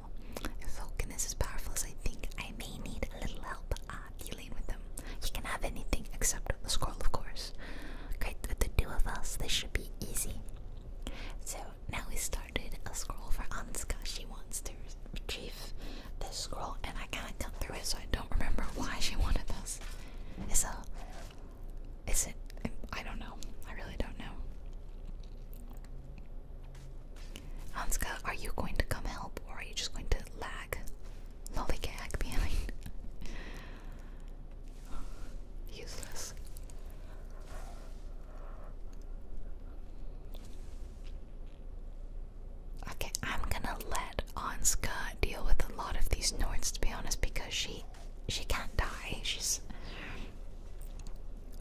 If Vulcan is as powerful as I think, I may need a little help uh, dealing with them. He can have anything except the scroll, of course. Okay, with the two of us, this should be easy. So now we started a scroll for Anska. She wants to retrieve this scroll, and I kind of cut through it, so I don't remember why she wanted this. It's a is it? I don't know. I really don't know. Hanska, are you going to come help or are you just going to lag? Lollygag behind. [LAUGHS] Useless. Okay, I'm gonna let Anska deal with a lot of these Nords to be honest because she she can't die. She's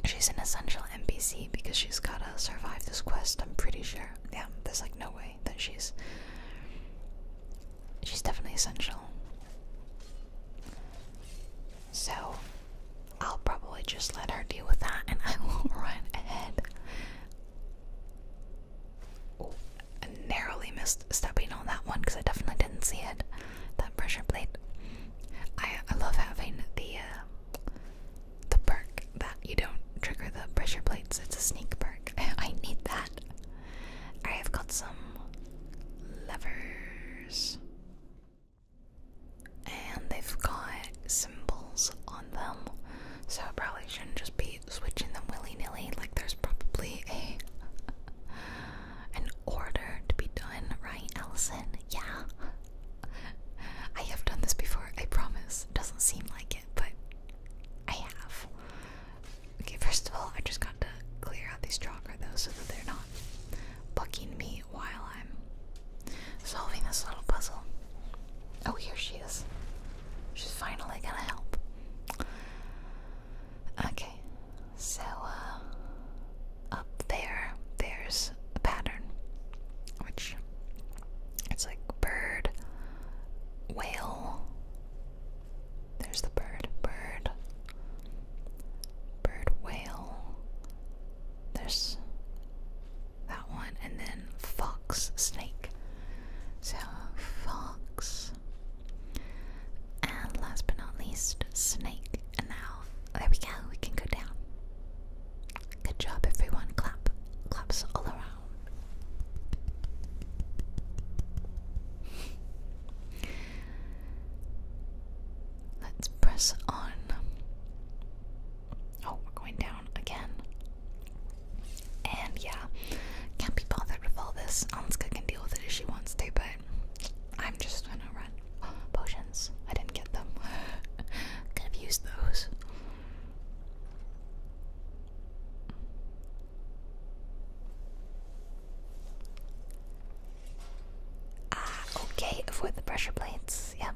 she's an essential NPC because she's gotta survive this quest. I'm pretty sure. Yeah, there's like no way that she's she's definitely essential. So I'll probably just let her deal with that, and I [LAUGHS] will run ahead. Oh, narrowly missed just stepping on that one because I definitely didn't see it. That pressure plate. I I love having the uh, the perk that you don't trigger the pressure plates. It's a sneak perk. [LAUGHS] I, need that. I have got some levers, and they've got symbols on them. So probably shouldn't just be switching them willy nilly. Like there's probably a [LAUGHS] an order to be done, right, Allison? Yeah. [LAUGHS] I have done this before, I promise. Doesn't seem like it, but I have. Okay, first of all, I just got to clear out these chalker though so that they're not bucking me while I'm solving this little puzzle. Oh, here she is. She's finally gonna help. Okay, so uh, up there, there's a pattern, which it's like bird, whale. There's the bird, bird, bird, whale. There's that one, and then fox, snake. So fox, and last but not least, Snake. And now, there we go, we can go down. Good job, everyone. Clap. Claps all around. Let's press on. Oh, we're going down again. And yeah, can't be bothered with all this. Anska can deal with it if she wants to, but I'm just gonna run. [GASPS] Potions. I didn't get them. [LAUGHS] Could have used those. Ah, okay. Avoid the pressure plates. Yep.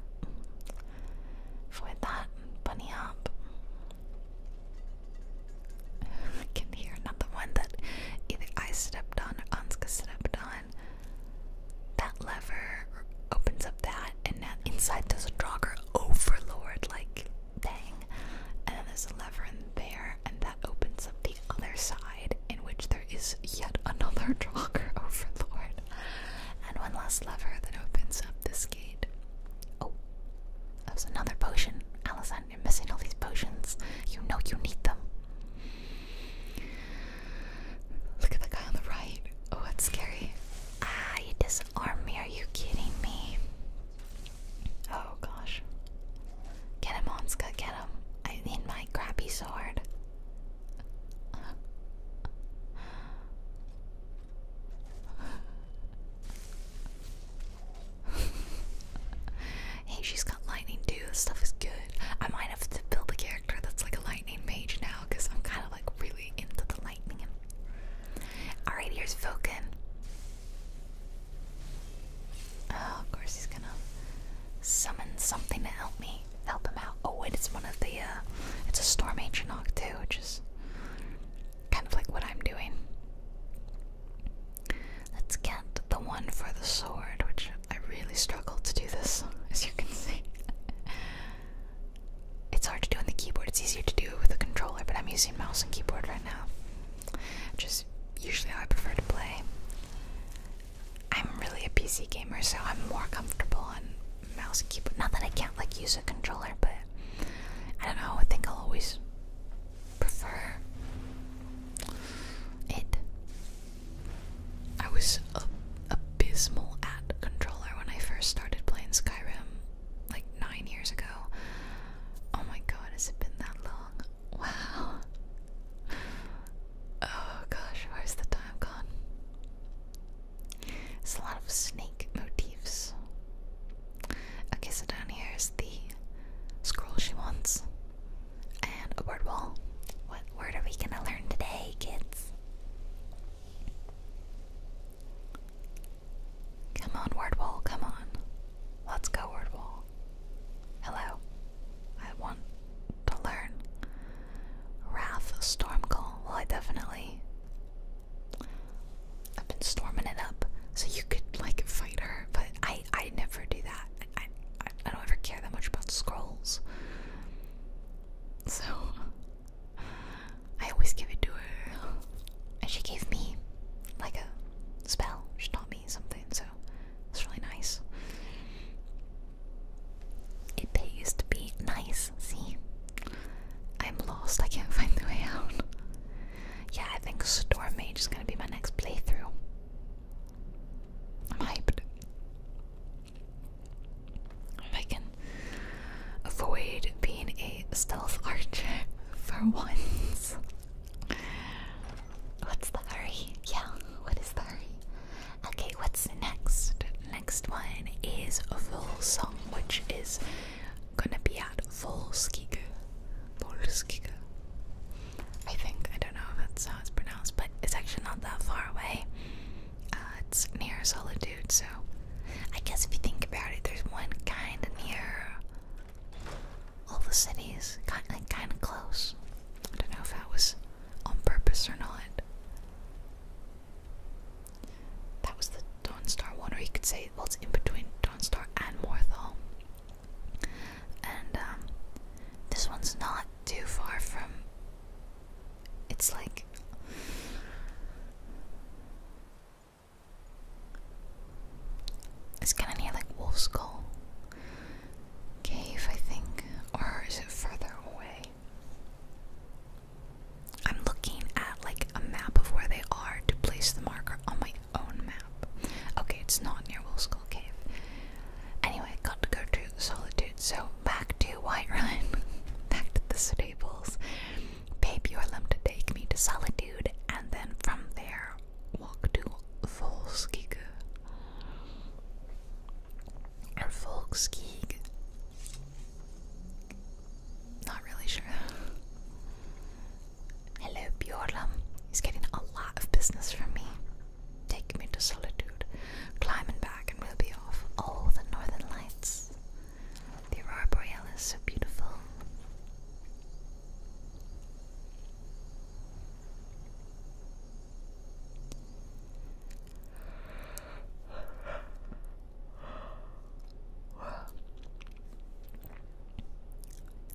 Avoid that. Bunny hop. [LAUGHS] can hear another one either I stepped on or Anska stepped on. That lever opens up that, and now inside there's a Draugr Overlord, like, thing. And then there's a lever in there, and that opens up the other side, in which there is yet another [LAUGHS] Draugr Overlord. And one last lever that opens up this gate. Oh, that was another potion. Alice you are missing all these potions. You know you need them. Look at the guy on the right. Oh, that's scary. Ah, you disarm me. Are you kidding me? Oh, gosh. Get him, Onska. Get him. I need my crappy sword. [LAUGHS] hey, she's got lightning too. This stuff is good. I might have to build a character that's like a lightning mage now because I'm kind of like really into the lightning. Alright, here's Volkan. Oh, of course he's gonna summon something to help me, help him out. Oh wait, it's one of the, uh, it's a storm ancient knock too, which is kind of like what I'm doing. Let's get the one for the sword, which I really struggle to do this, [LAUGHS] as you can see. it's hard to do on the keyboard, it's easier to do with a controller, but I'm using mouse and keyboard right now, which is usually how I prefer to play. I'm really a PC gamer, so I'm more comfortable on mouse and keyboard. Not that I can't like use a controller, but I don't know, I think I'll always prefer it. I was abysmal at controller when I first started playing Skyrim like nine years ago. Oh my god, has it been that long? [LAUGHS] Wow. Oh gosh, where's the time gone? It's a lot of snake motifs. Okay, so down here is the scroll she wants and word wall. What word are we gonna learn today, kids? Come on, word wall, come on. Let's go, word wall. Hello. I want to learn. Wrath Stormcall. Well, I definitely. I've been storming it up. So you could, like, fight her, but I, I never do that. I, I, don't ever care that much about scrolls. So [LAUGHS] I always give it to her. And she gave me like a spell. She taught me something, so it's really nice. It pays to be nice, see? I'm lost, I can't [LAUGHS] find the way out. Yeah, I think Storm Mage is gonna be my next playthrough. I'm hyped. I can avoid being a stealth [LAUGHS] archer for once. What's the hurry? Yeah, what is the hurry? Okay, what's next? Next one is a full song, which is gonna be at Volskiga. Volskiga. I think I don't know if that's how it's pronounced, but it's actually not that far away. Uh, it's near Solitude, so I guess if you think about it, there's one kind of near all the cities, kind kind of close. I don't know if that was on purpose or not. That was the Dawnstar one, or you could say well, it's in between Dawnstar and Morthal. And um, this one's not too far from. It's like. It's kind of near like Wolf Skull Cave, I think. Or is it further away? I'm looking at like a map of where they are to place the marker on my own map. Okay, it's not near Wolf Skull Cave. Anyway, got to go to Solitude, so back to White Run, [LAUGHS] back to the stables. Babe Yorlem to take me to Solitude, and then from there, walk to Volskig. Or Volskig. Not really sure. [LAUGHS] Hello, Bjorlam. He's getting a lot of business from me. Take me to solitude, climbing back, and we'll be off. All the northern lights. The aurora borealis, so beautiful.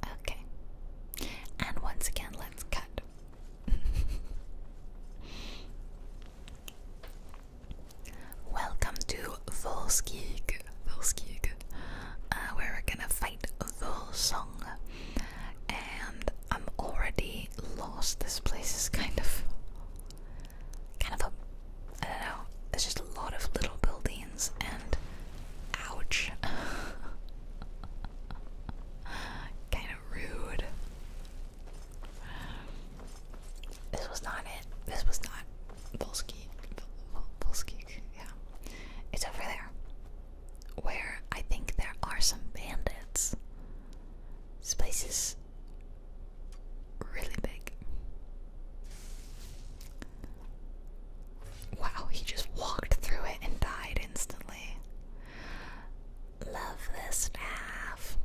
Okay. And once again, let's cut. [LAUGHS] Welcome to Volskig, Volskig, where uh, we're gonna fight song. And I'm already lost. This place is kind of, kind of a, I don't know. There's just a lot of little buildings and, ouch. [LAUGHS] kind rude. This was not it. This was not Volsky. Volsky, yeah. It's over there. Where I think there are some bandits. This place is really big. Wow, he just walked through it and died instantly. Love this staff.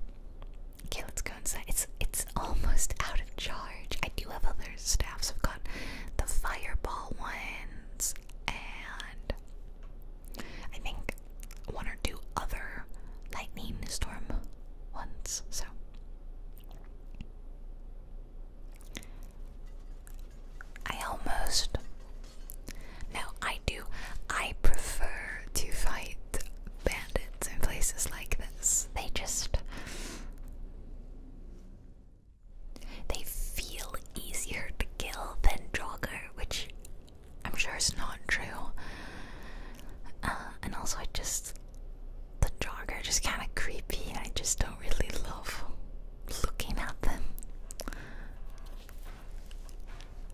Okay, let's go inside. It's it's almost out of charge. I do have other staffs. I've got the fireball ones and I think one or two other lightning storm ones. So I almost. Now, I do. I prefer to fight bandits in places like this. They just. They feel easier to kill than Jogger, which I'm sure is not true. Uh, and also, I just. The Jogger just kind of creepy, I just don't really love looking at them.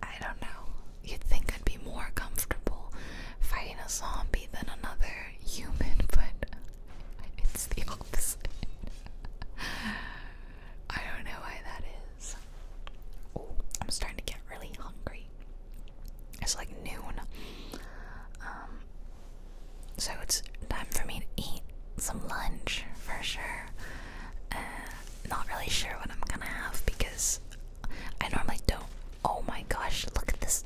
I don't know. You'd think I'd be more comfortable fighting a zombie than another human, but it's the [LAUGHS] opposite. I don't know why that is. I'm starting to get really hungry. It's like noon. Um, so it's time for me to eat some lunch for sure not really sure what I'm gonna have because I normally don't. Oh my gosh, look at this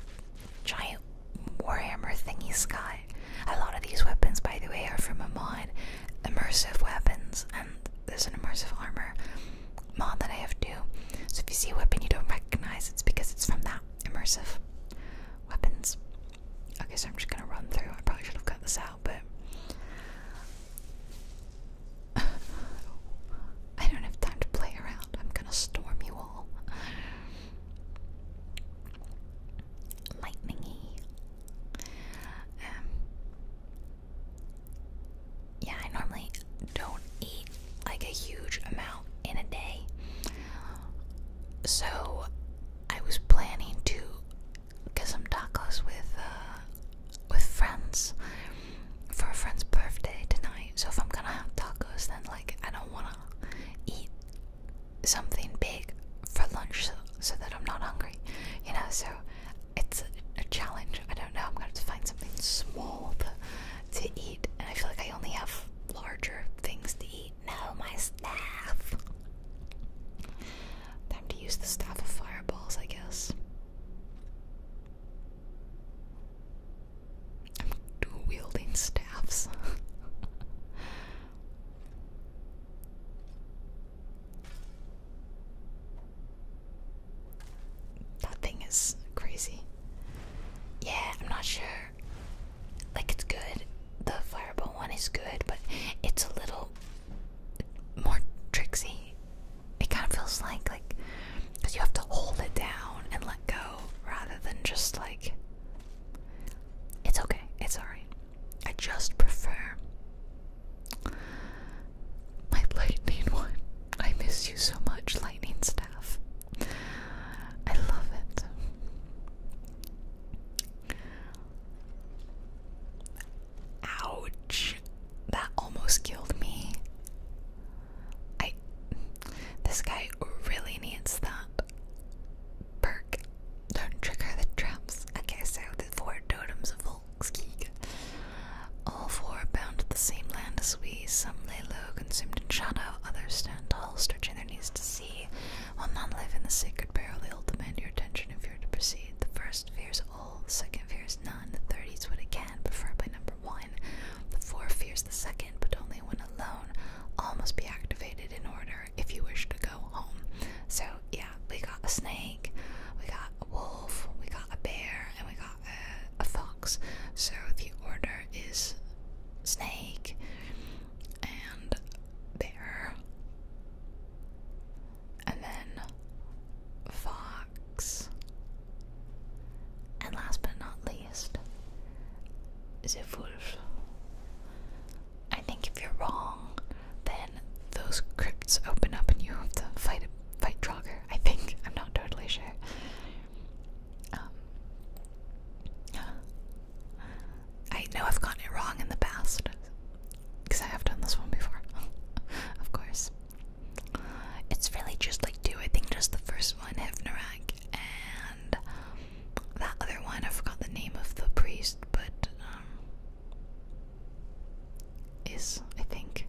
giant warhammer thingy, Sky. A lot of these weapons, by the way, are from a mod, immersive weapons, and there's an immersive armor mod that I have too. So if you see a weapon you don't recognize, it's because it's from that immersive weapons. Okay, so I'm just gonna run through. I probably should have cut this out but [SIGHS] I don't have time to play around. I'm gonna storm you all. Lightningy. Um, yeah, I normally don't eat like a huge amount in a day. So I was planning to get some tacos with uh, with friends for a friend's birthday tonight. So if I'm gonna have tacos, then like I don't wanna eat something big for lunch so, that I'm not hungry, you know. So it's a, challenge. I don't know. I'm gonna have to find something small to, to eat, and I feel like I only have larger things to eat. No, my staff. Time to use the staff of fireballs, I guess. I'm dual wielding staffs. [LAUGHS] that thing is crazy. Yeah, I'm not sure. Like, it's good. The fireball one is good, but it's a little more tricksy. It kind of feels like like because you have to hold it down and let go rather than just like it's okay, it's alright. I just prefer my lightning one. I miss you so much, lightning staff. I love it. Ouch. That almost killed me. I this guy really needs that perk. Don't trigger the traps. Okay, so the four totems of Volkskeeg. All four bound to the same land as we. Some lay low, consumed in shadow, others stand tall, stretching their knees to sea. While none live in the sacred barrel, they'll demand your attention if you're to proceed. The first fears the second fear is none. The third eats what it can, preferably number one. The four fears the second, but only when alone. All must be activated in order if you wish to go home. So yeah, we got a snake, we got a wolf, we got a bear, and we got a fox. So the order is snake and bear and then Fox. And last but not least, the wolf. I think if you're wrong, then those crypts open up and you have to fight a fight Draugr. I think [LAUGHS] I'm not totally sure. Um, [GASPS] I know I've gotten it wrong in the past, because I have done this one before. [LAUGHS] of course. It's really just like two. I think just the first one, Hevnarak, and that other one. I forgot the name of the priest, but. Um, is, I think,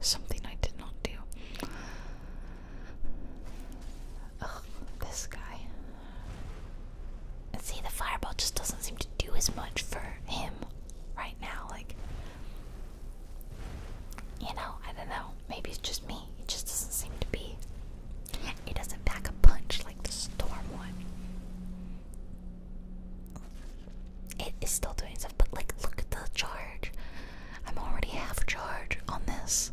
something I did not do. this guy. See, the fireball just doesn't seem to do as much for him, right? now. Like, you know, I don't know. Maybe it's just me. It just doesn't seem to be. It doesn't pack a punch like the storm one. It is still doing stuff, but like, look at the charge. I'm already half charge on this.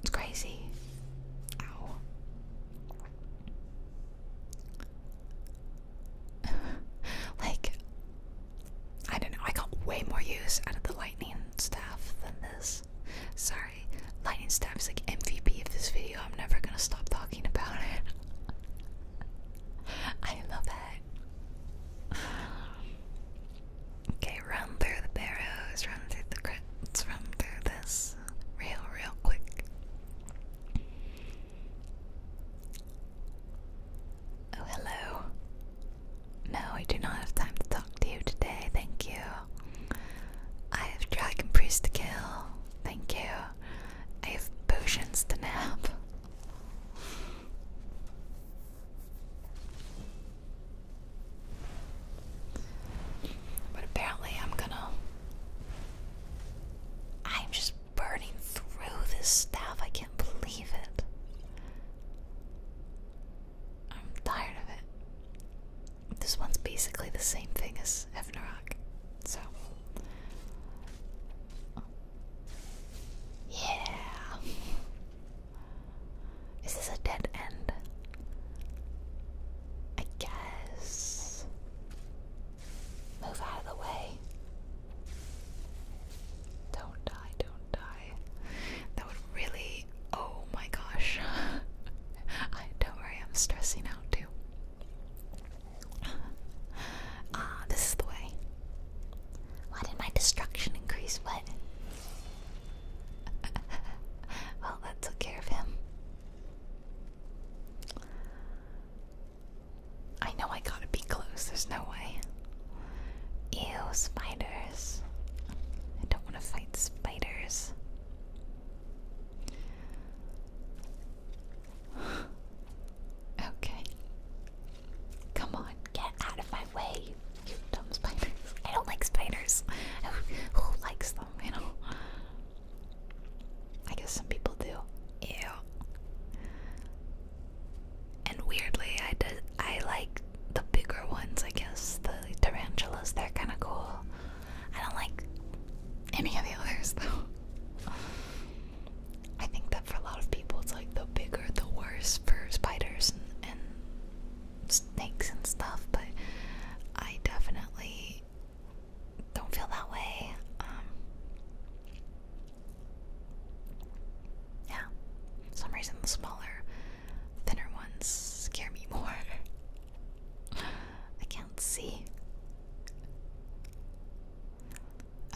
It's crazy. [LAUGHS] like, I don't know, I got way more use out of the lightning staff than this. Sorry, lightning staff is like MVP of this video. I'm never gonna stop talking about it. [LAUGHS] I love it. [SIGHS] Okay, run through the barrows, run through the crits, run through this real, real quick. Oh, hello. No, I do not have time to talk to you today, thank you. I have Dragon Priest to kill, thank you. I have potions to nap. But apparently, I'm gonna. I'm just burning through this stuff. I can't believe it. I'm tired of it. This one's basically the same thing as Evnarak, So. Yeah. Is this a dead end? I guess. Move out of the way. Don't die, don't die. That would really. Oh my gosh. [LAUGHS] don't worry, I'm stressing out too. [LAUGHS] Ah, this is the way. Why did my destruction increase? What? [LAUGHS] well, that took care of him. I know I gotta be close, there's no way. Ew, spiders. I don't want to fight spiders. [SIGHS] okay. Come on, get out of my way, you dumb spiders. I don't like spiders. [LAUGHS] Who, likes them, you know? I guess some people do. Ew. And weirdly, I did, I like the bigger ones. I guess the tarantulas. They're kind of cool. I don't like any of the others [LAUGHS] though. I think that for a lot of people, it's like the bigger, the worse for spiders and snakes and stuff. But I definitely don't feel that way. Um, yeah, some reason the smaller, thinner ones scare me [LAUGHS] more. I can't see.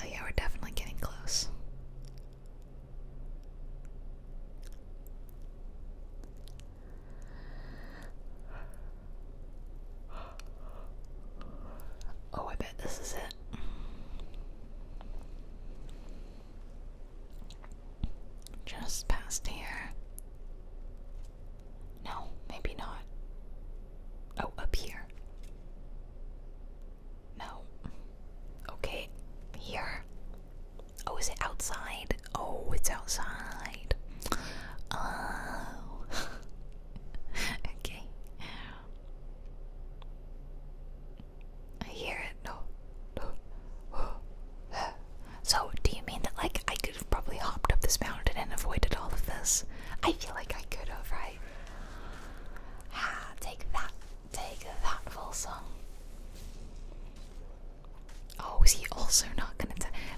Oh yeah, we're definitely getting close. Oh, I bet this is it. Just past here. No, maybe not. Oh, up here. No. Okay, here. Oh, is it outside? Oh, it's outside. Oh. [LAUGHS] [LAUGHS] okay. I hear it. No. No. [GASPS] So, do you mean that, like, I could have probably hopped up this mountain and avoided all of this? I feel like I could have, right? Ah, take that. Take that, song. Oh, is he also not gonna?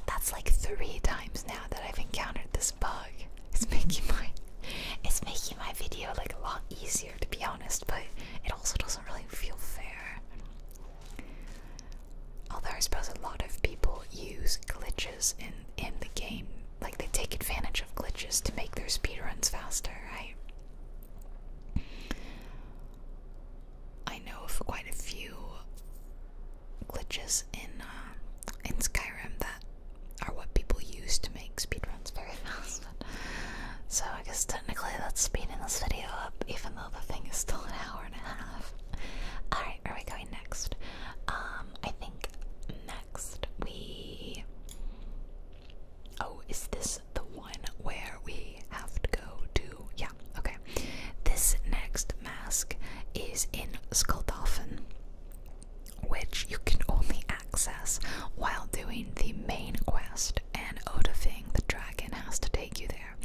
That's like three times now that I've encountered this bug. It's making my it's making my video like a lot easier to be honest, but it also doesn't really feel fair. Although I suppose a lot of people use glitches in in the game, like they take advantage of glitches to make their speedruns faster, right? I know of quite a few glitches in uh, in Skyrim that are what people use to make speedruns very [LAUGHS] fast. so I guess technically that's speeding this video up, even though the thing is still an hour and a half. Alright, where are we going next? Um, I think next we. Oh, is this the one where we have to go to? Yeah, okay. This next mask is in Skulldolphin which you can only access while doing the main quest, and Odafing the dragon has to take you there.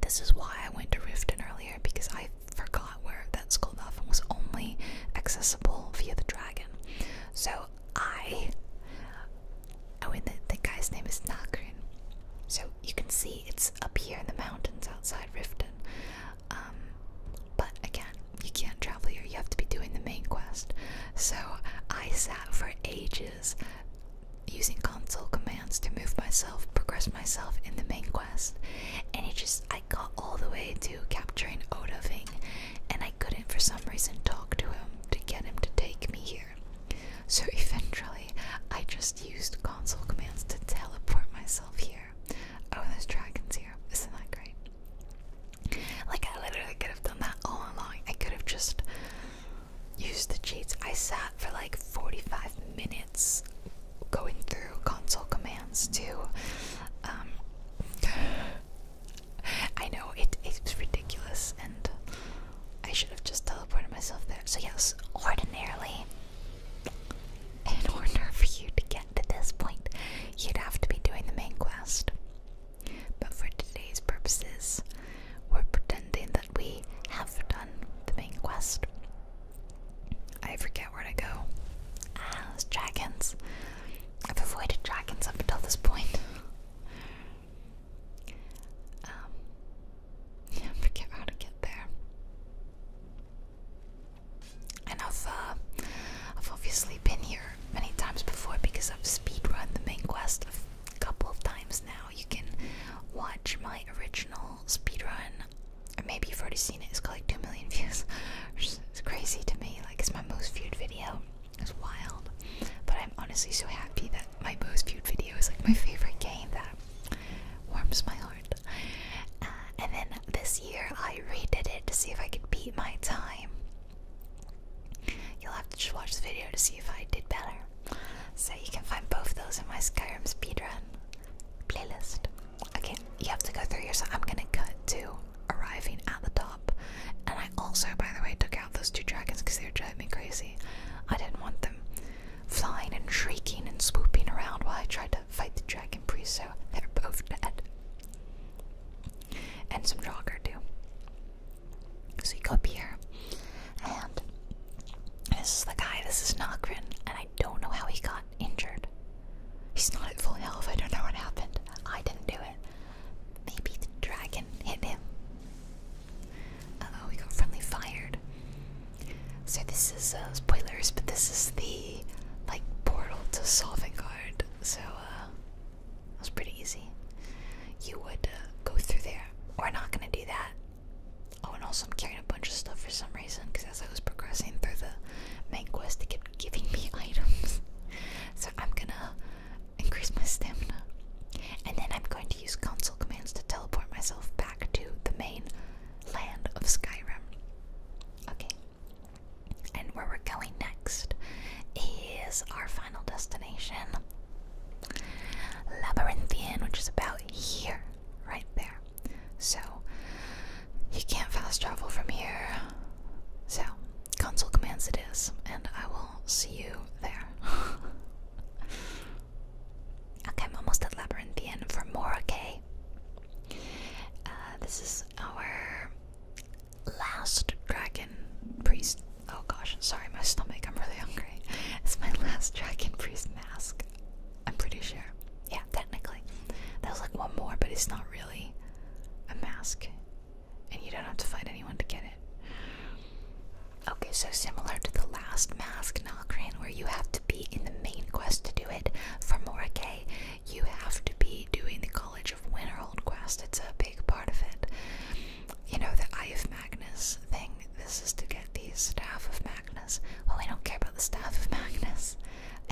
This is why I went to Riften earlier because I forgot where that school of Skoldafen was only accessible via the dragon. So I, oh, and the, the guy's name is Nakrin. So you can see it's up here in the mountains outside Riften. Um, but again, you can't travel here. You have to be doing the main quest. So I sat for ages using console commands to move myself, progress myself in the main quest, and it just I got all the way to capturing Oda Odoving, and I couldn't for some reason talk to him to get him to take me here. So [LAUGHS] eventually, I just used console commands to teleport myself here. Oh, and dragons here. Isn't that great? Like, I literally could have done that all along. I could have just used the cheats. I sat for like 45 minutes going through console commands to. Um, [GASPS] I know it, it's ridiculous, and I should have just teleported myself there. So, yes, ordinarily, in order for you to get to this point, you'd have to be doing the main quest. But for today's purposes, we're pretending that we have done the main quest. I forget where to go. Ah, those dragons. I've avoided dragons up until this point. Um, yeah, [LAUGHS] forget how to get there. And I've uh, I've obviously been here many times before because I've speedrun the main quest a couple of times now. You can watch my original speedrun. Or maybe you've already seen it. It's got like two million [LAUGHS] views. It's crazy to me. Like it's my most viewed video. It's wild. But I'm honestly so happy that my most viewed video is like my favorite game that warms my heart. Uh, and then this year I redid it to see if I could beat my time. You'll have to just watch the video to see if I did better. So you can find both those in my Skyrim speedrun playlist. Okay, you have to go through here, I'm gonna cut to arriving at the top. And I also, by the way, took out those two dragons because they were driving me crazy. I didn't want them flying and shrieking and swooping around while I tried to fight the dragon priest, so they're both dead and some jogger too. So you go here, and this is the guy. This is Nagrin, and I don't know how he got injured. He's not at full health. I don't know what happened. I didn't do it. Maybe the dragon hit him. oh, we got friendly fired. So this is uh, spoilers, but this is the like portal to Solving so uh, it was pretty easy. You would uh, go through there. We're not gonna do that. Oh, and also I'm carrying a bunch of stuff for some reason because as I was progressing through the main quest, they kept giving me [LAUGHS] items. so I'm gonna increase my stamina, and then I'm going to use console commands to teleport myself back to the main land of Skyrim. Okay, and where we're going next is our final destination Labyrinthian, which is about here, right there. So, you can't fast travel from here. So, console commands it is, and I will see you there. [LAUGHS] okay, I'm almost at Labyrinthian for more, okay? Uh, this is our last dragon priest. Oh gosh, sorry, my stomach. I'm really hungry. It's my last dragon priest mask. I'm pretty sure. Yeah, technically. There's like one more, but it's not really a mask. And you don't have to find anyone to get it. Okay, so similar to the last mask, Nalkran, where you have to be in the main quest to do it, for Morike, you have to be doing the knowledge of Winterhold Quest. It's a big part of it. You know, the Eye of Magnus thing. This is to get the Staff of Magnus. Well, we don't care about the Staff of Magnus.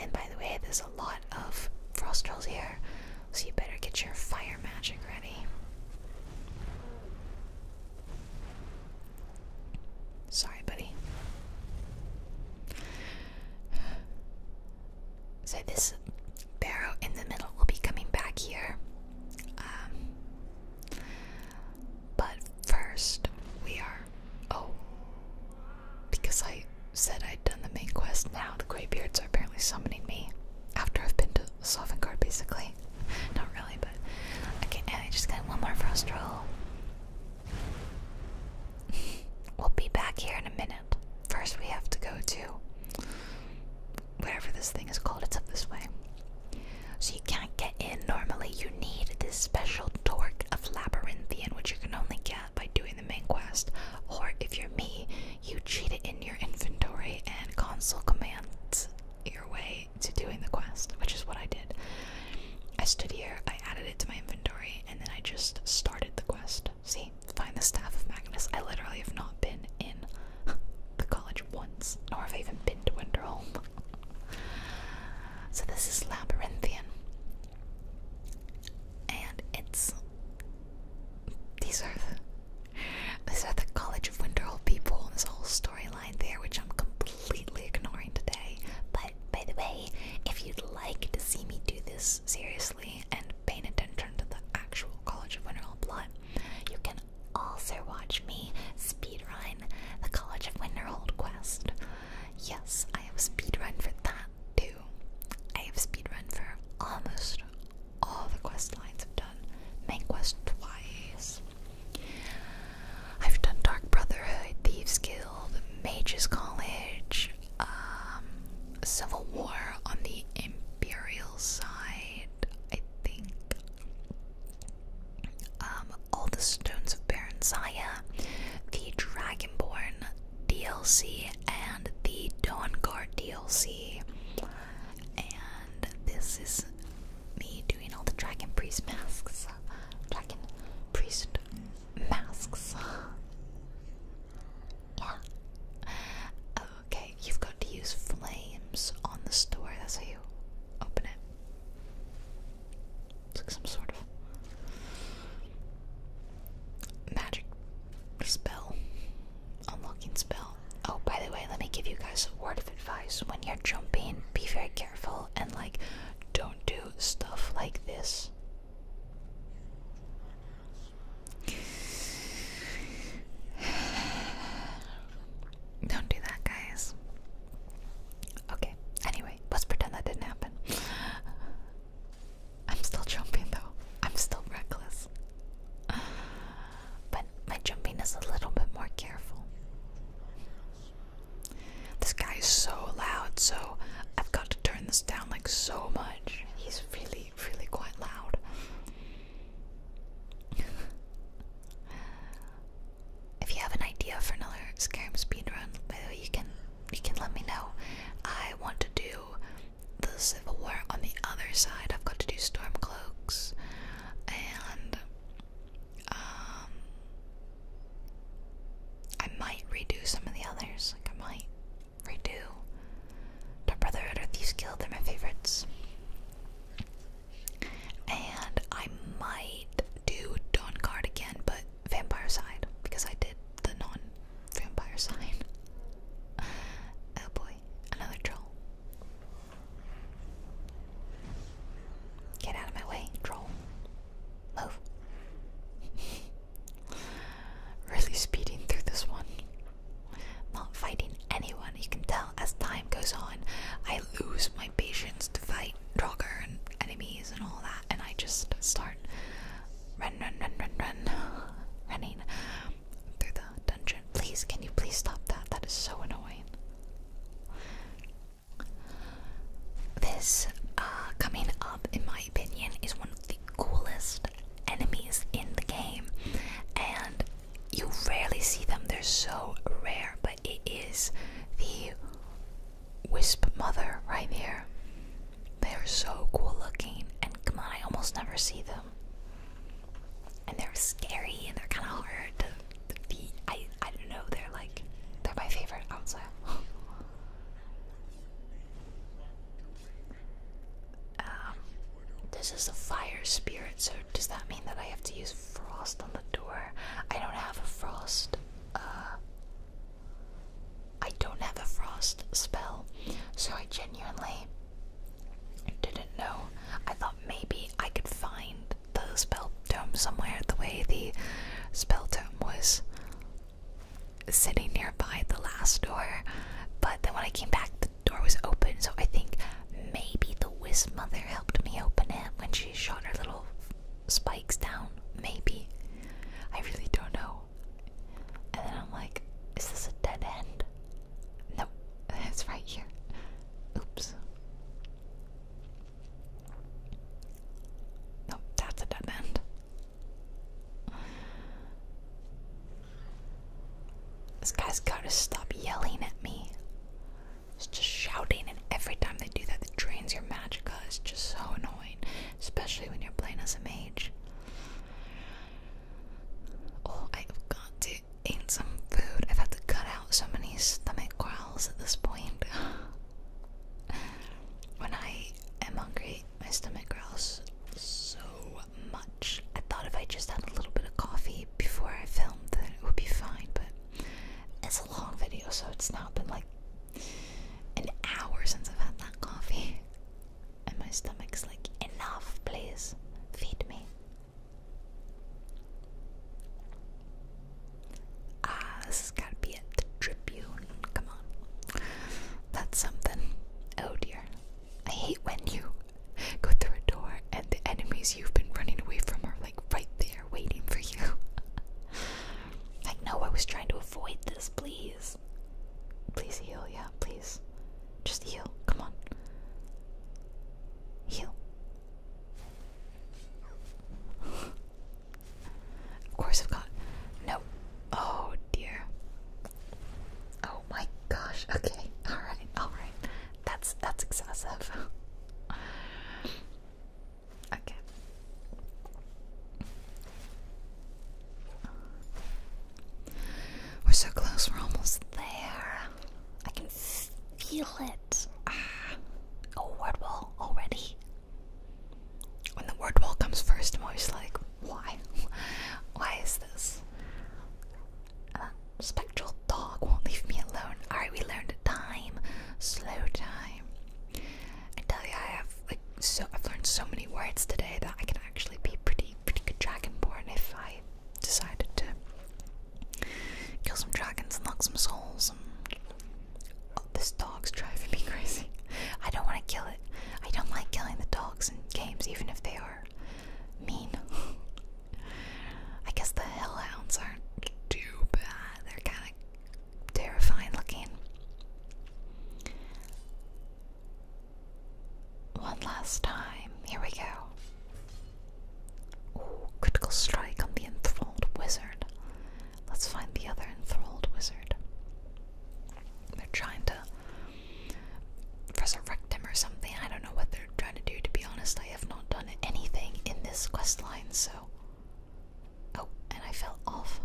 And by the way, there's a lot of frost trolls here, so you better get your fire magic ready. Sorry, buddy. So this barrow in the middle will be coming back here. Um, but first, we are. Oh, because I said I'd done the main quest. Now the graybeards are apparently summoning me after I've been to Solvangard, basically. [LAUGHS] Not really, but okay. I just got one more frost roll we'll be back here in a minute. First, we have to go to whatever this thing is called. It's up this way. So you can't get in normally. You need this special torque of Labyrinthian, which you can only get by doing the main quest. Or if you're me, you cheat it in your inventory and console commands your way to doing the quest, which is what I did. I stood here, I added it to my inventory, and then I just started the quest. See, find the staff of Magnus. I literally have not been in [LAUGHS] the college once, nor have I even been to Winterholm. so this is Labyrinthian. And it's these are the the College of Winterhold people and this whole storyline there, which I'm completely ignoring today. But by the way, if you'd like to see me do this seriously, and pay attention to the actual College of Winterhold plot, you can also watch me speed run the College of Winterhold quest. Yes, I have a speed run for that too. I have speed run for almost all the quest lines I've done. Main quest twice. I've done Dark Brotherhood, Thieves Guild, Mages College, um, civil war on the imperial side, I think. Um, all the Stones of Baron Zaya, the Dragonborn DLC, and the Dawn Guard DLC. And this is me doing all the Dragon Priest masks. Dragon Priest masks. Okay, you've got to use flames on the store. That's how you open it. It's like some sort of magic spell, unlocking spell. Oh, by the way, let me give you guys a word of advice. When you're jumping, be very careful and like don't do stuff like this. [SIGHS] Don't do that, guys. Okay, anyway, let's pretend that didn't happen. [SIGHS] I'm still jumping though. I'm still reckless. [SIGHS] But my jumping is a little bit more careful. This guy is so loud, so I've got to turn this down like so much. He's really really, quite loud. [LAUGHS] if you have an idea for another Skyrim speedrun, by you can you can let me know. I want to do the Civil War on the other side. I've got to do Stormcloaks and um, I might redo some of the others. Like I might Redo, Dark Brotherhood or Thieves Guild, they're my favorites. And I might do Dawn Guard again, but Vampire Side, because I did the non vampire side. [LAUGHS] Oh boy, another troll. Get out of my way, troll. Move. [LAUGHS] Really speeding through this one. Not fighting anyone, you can tell as time goes on, I lose my patience to fight Draugr and enemies and all that, and I just start run, run, run, run, run, running through the dungeon. Please, can you please stop that? That is so annoying. This, uh, coming up, in my opinion, is one of the coolest enemies in the game, and you rarely see them, they're so rare. But it is the Wisp Mother right there. They're so cool looking, and come on, I almost never see them. And they're scary, and they're kind of hard to defeat. I I don't know. They're like they're my favorite outside. [LAUGHS] Um, this is a fire spirit, so does that mean that I have to use frost on the door? I don't have a frost. Uh, I don't have a frost spell, so I genuinely didn't know. I thought maybe I could find the spell tome somewhere the way the spell tome was sitting nearby the last door, but then when I came back, the door was open. So I think maybe the Wisp mother helped me open it when she shot her little spikes down. Maybe. I really don't know. And then I'm like, is this a dead end? No, [LAUGHS] it's right here. Oops. No, that's a dead end. This guy's gotta stop yelling at me. It's just shouting, and every time they do that, it drains your magic. It's just so annoying, especially when you're playing as a mage. Oh, I have got to eat some food. I've had to cut out so many stomach growls at this point. [SIGHS] when I am hungry, my stomach growls so much. I thought if I just had a little bit of coffee before I filmed, then it would be fine, but it's a long video, so it's now been like an hour since I've had that coffee. [LAUGHS] And my stomach's like, enough, please, feed me. Ah, this Tribune. Come on. That's something. Oh dear. I hate when you go through a door and the enemies you've been running away from are like right there waiting for you. [LAUGHS] like, no, I was trying to avoid this, please. Please heal, yeah, please. Just heal, come on. Heal. [LAUGHS] of course, I've got. No. Oh dear. Oh my gosh. Okay. [LAUGHS] All right. All right. That's that's excessive. okay. We're so close. We're almost there. I can feel it. Ah. word wall already. When the word wall comes first, I'm always like, why? [LAUGHS] Why is this? Uh, spectral dog won't leave me alone. Alright, we learned time. Slow time. I tell you, I have like so I've learned so many words today that I can actually be pretty pretty good dragonborn if I decided to kill some dragons and lock some souls oh, this dog's driving me [LAUGHS] crazy. I don't want to kill it. I don't like killing the dogs in games, even if they are mean. [LAUGHS] I guess the hellhounds aren't too bad. They're kind of terrifying looking. One last time. Here we go. critical strike on the enthralled wizard. Let's find the other enthralled wizard. They're trying to resurrect him or something. I don't know what they're trying to do, to be honest. I have not done anything in this quest line, so. Oh, and I fell off.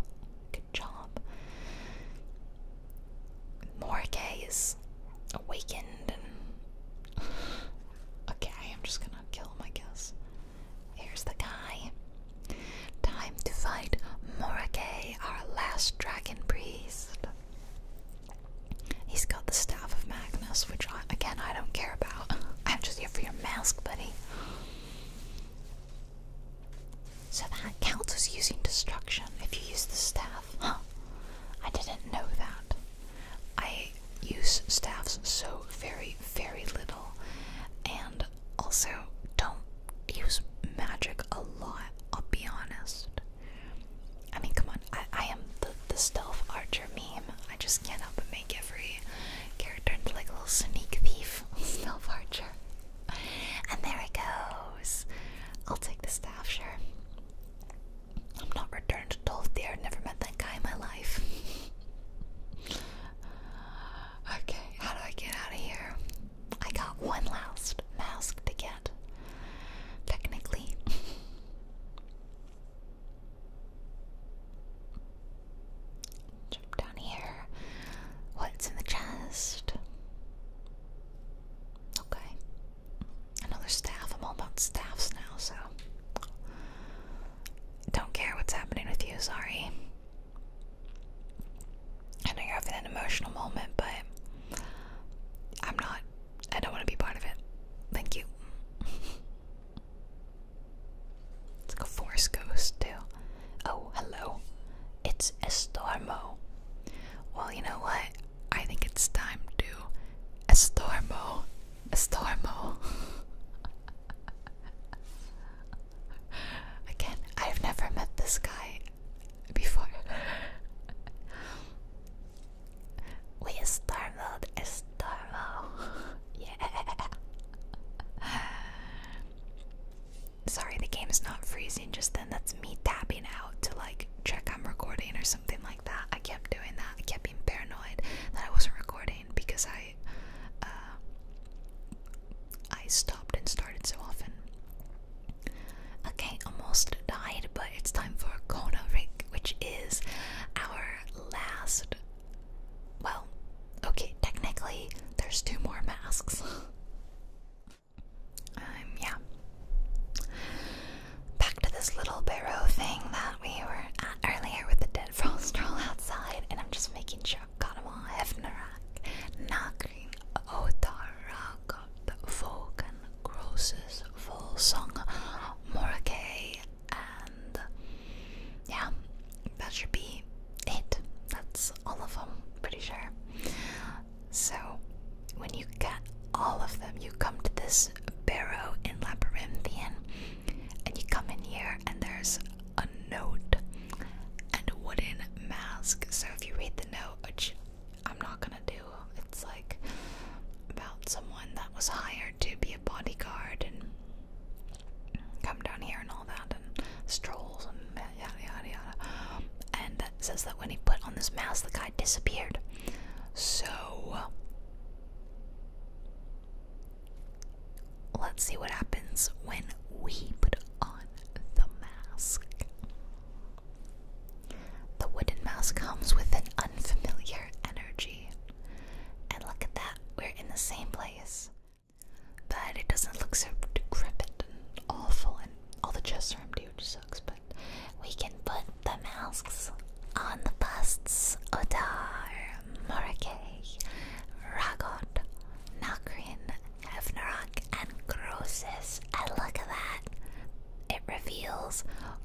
Good job. Morgue is awakened and. [SIGHS] okay, I am just gonna kill him, I guess. Here's the guy. Time to fight Morake, our last dragon priest. He's got the staff of Magnus, which I, again I don't care about. [LAUGHS] I'm just here for your mask, buddy. So that counts as using destruction if you use the staff. Huh. I didn't know that. I use staffs so very, very little, and also don't use magic a lot, I'll be honest. I mean, come on, I, am the, the stealth archer meme. I just can't help but make every character into like a little sneak thief [LAUGHS] stealth archer. And there it goes. I'll take the staff, sure. I'm not returned to Dolthier, never met that guy in my life. [LAUGHS] okay, how do I get out of here? I got one last mask to get technically. [LAUGHS] Jump down here. What's in the chest? Okay. Another staff. I'm all about staffs now, so. Don't care what's happening with you, sorry. I know you're having an emotional moment, but I'm not I don't want to be part of it. Thank you. [LAUGHS] it's like a forest ghost, too. Oh, hello. It's Estormo. Well, you know what? I think it's time to Estormo. Estormo. [LAUGHS] Again, I've never met this guy before. [LAUGHS] We startled starved. [LAUGHS] yeah. [LAUGHS] Sorry, the game's not freezing just then. That's me tapping out to like check I'm recording or something like that. I kept doing that. I kept being paranoid that I wasn't recording because I uh, I stopped and started so often. Okay, almost died, but it's time for Kona Rig, which is our last. Well, okay, technically, there's two more masks. [LAUGHS] um, yeah. Back to this little barrow thing that we were at earlier with the dead frost troll [LAUGHS] outside, and I'm just making sure i got them all. Hefnarak, Nagrin, Otarak, Volk, Roses full song Morake and yeah that should be it that's all of them pretty sure so when you get all of them you come to this barrow in labyrinthian and you come in here and there's a note and a wooden mask so if you read the note which I'm not gonna do. It's like about someone that was hired to be a bodyguard and come down here and all that and strolls and yada yada yada. And says that when he put on this mask, the guy disappeared. So let's see what happens when we put on the mask. The wooden mouse comes with an unfamiliar energy. And look at that, we're in the same place. But it doesn't look so decrepit and awful, and all the chests are empty, which sucks. But we can put the masks on the busts Odar, Morakei, Ragot, Nakrin, Hevnarak, and Grosis. And look at that. It reveals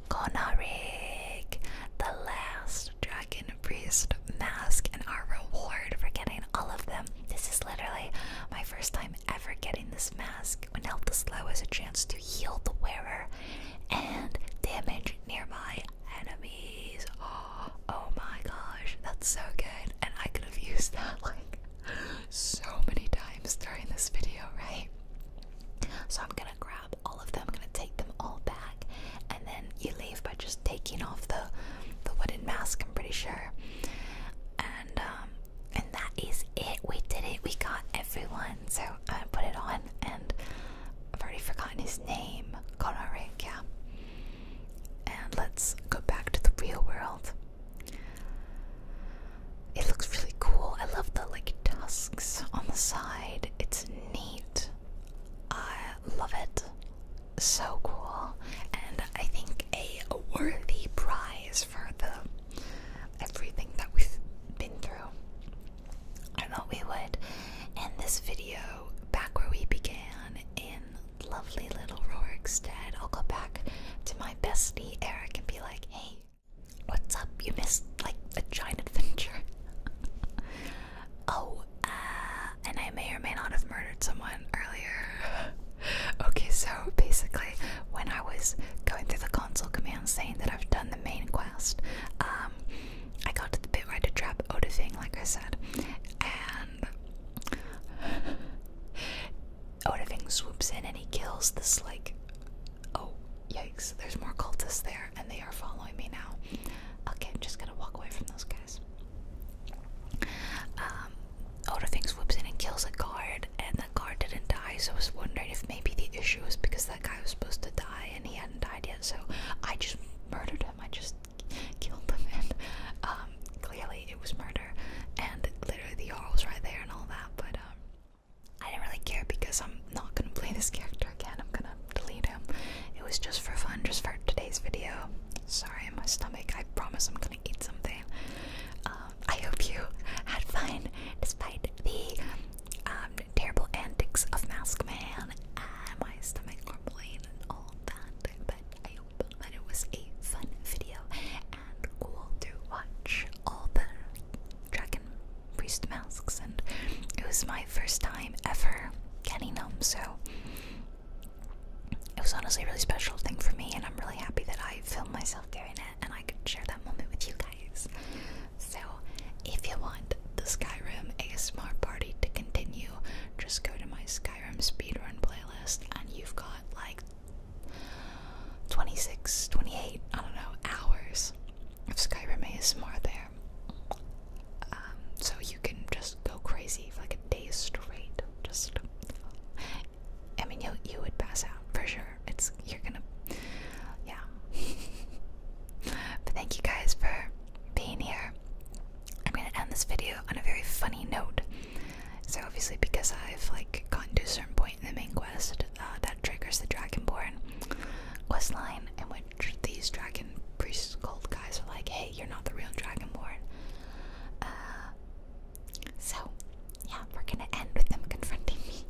Konarig, the last dragon priest mask, and our reward for getting all of them. This is literally my first time ever getting this mask. When Health the Slow has a chance to heal the wearer and damage nearby enemies. [GASPS] oh my gosh, that's so good. And I could have used that like [GASPS] so many times during this video, right? So I'm gonna grab all of them, I'm gonna take them all back, and then you leave by just taking off the the wooden mask, I'm pretty sure. And um, and that is it. We did it, we got everyone. So I'm gonna put it on and I've already forgotten his name. Konorik, And let's go back to the real world. It looks really cool. I love the like tusks on the side. It's neat. I love it. So cool. And I think a worthy prize for the everything that we've been through. I thought we would end this video back where we began in lovely little Rorikstead. I'll go back to my bestie Eric and be like, hey, What's up? You missed like a giant adventure. [LAUGHS] oh, uh, and I may or may not have murdered someone earlier. [LAUGHS] okay, so basically, when I was going through the console command saying that I've done the main quest, um, I got to the bit where I did to trap Odafing, like I said, and [SIGHS] Odafing swoops in and he kills this like. Oh, Yikes, there's more cultists there and they are following me now. Okay, I'm just gonna walk away from those guys. Um, Otterfinks whoops in and kills a guard, and the guard didn't die, so I was wondering if maybe the issue was because that guy was supposed to die and he hadn't died yet, so I just murdered him. I just killed him, and um, clearly it was murder, and literally the Jarl was right there and all that, but um, I didn't really care because I'm not gonna play this character again. I'm gonna delete him. It was just for fun, just for today's video. Sorry, my stomach. I promise I'm gonna eat something. Um, I hope you had fun despite the um, terrible antics of Mask Man and my stomach grumbling and all that. But I hope that it was a fun video and cool to watch all the dragon priest masks, and it was my first time ever getting them, so it was honestly a really special thing for me, and I'm really happy that I filmed myself doing it and I could share that moment with you guys. So, if you want the Skyrim ASMR party to continue, just go to my Skyrim speedrun playlist, and you've got like 26, 28, I don't know, hours Skyrim is more there. Um, so you can just go crazy for like a day straight. Just, I mean, you you would pass out for sure. It's you're gonna, yeah. [LAUGHS] but thank you guys for being here. I'm gonna end this video on a very funny note. So obviously, because I've like gotten to a certain point in the main quest, uh, that triggers the Dragonborn quest line, in which these dragon priest gold guys are like, "Hey, you're not the real Dragonborn." Uh, so, yeah, we're gonna end with them confronting me.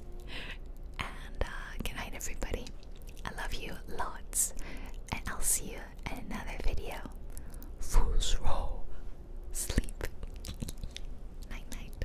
[LAUGHS] And uh, good everybody. I love you lots, and I'll see you in another video. Fools roll, sleep, [LAUGHS] night night.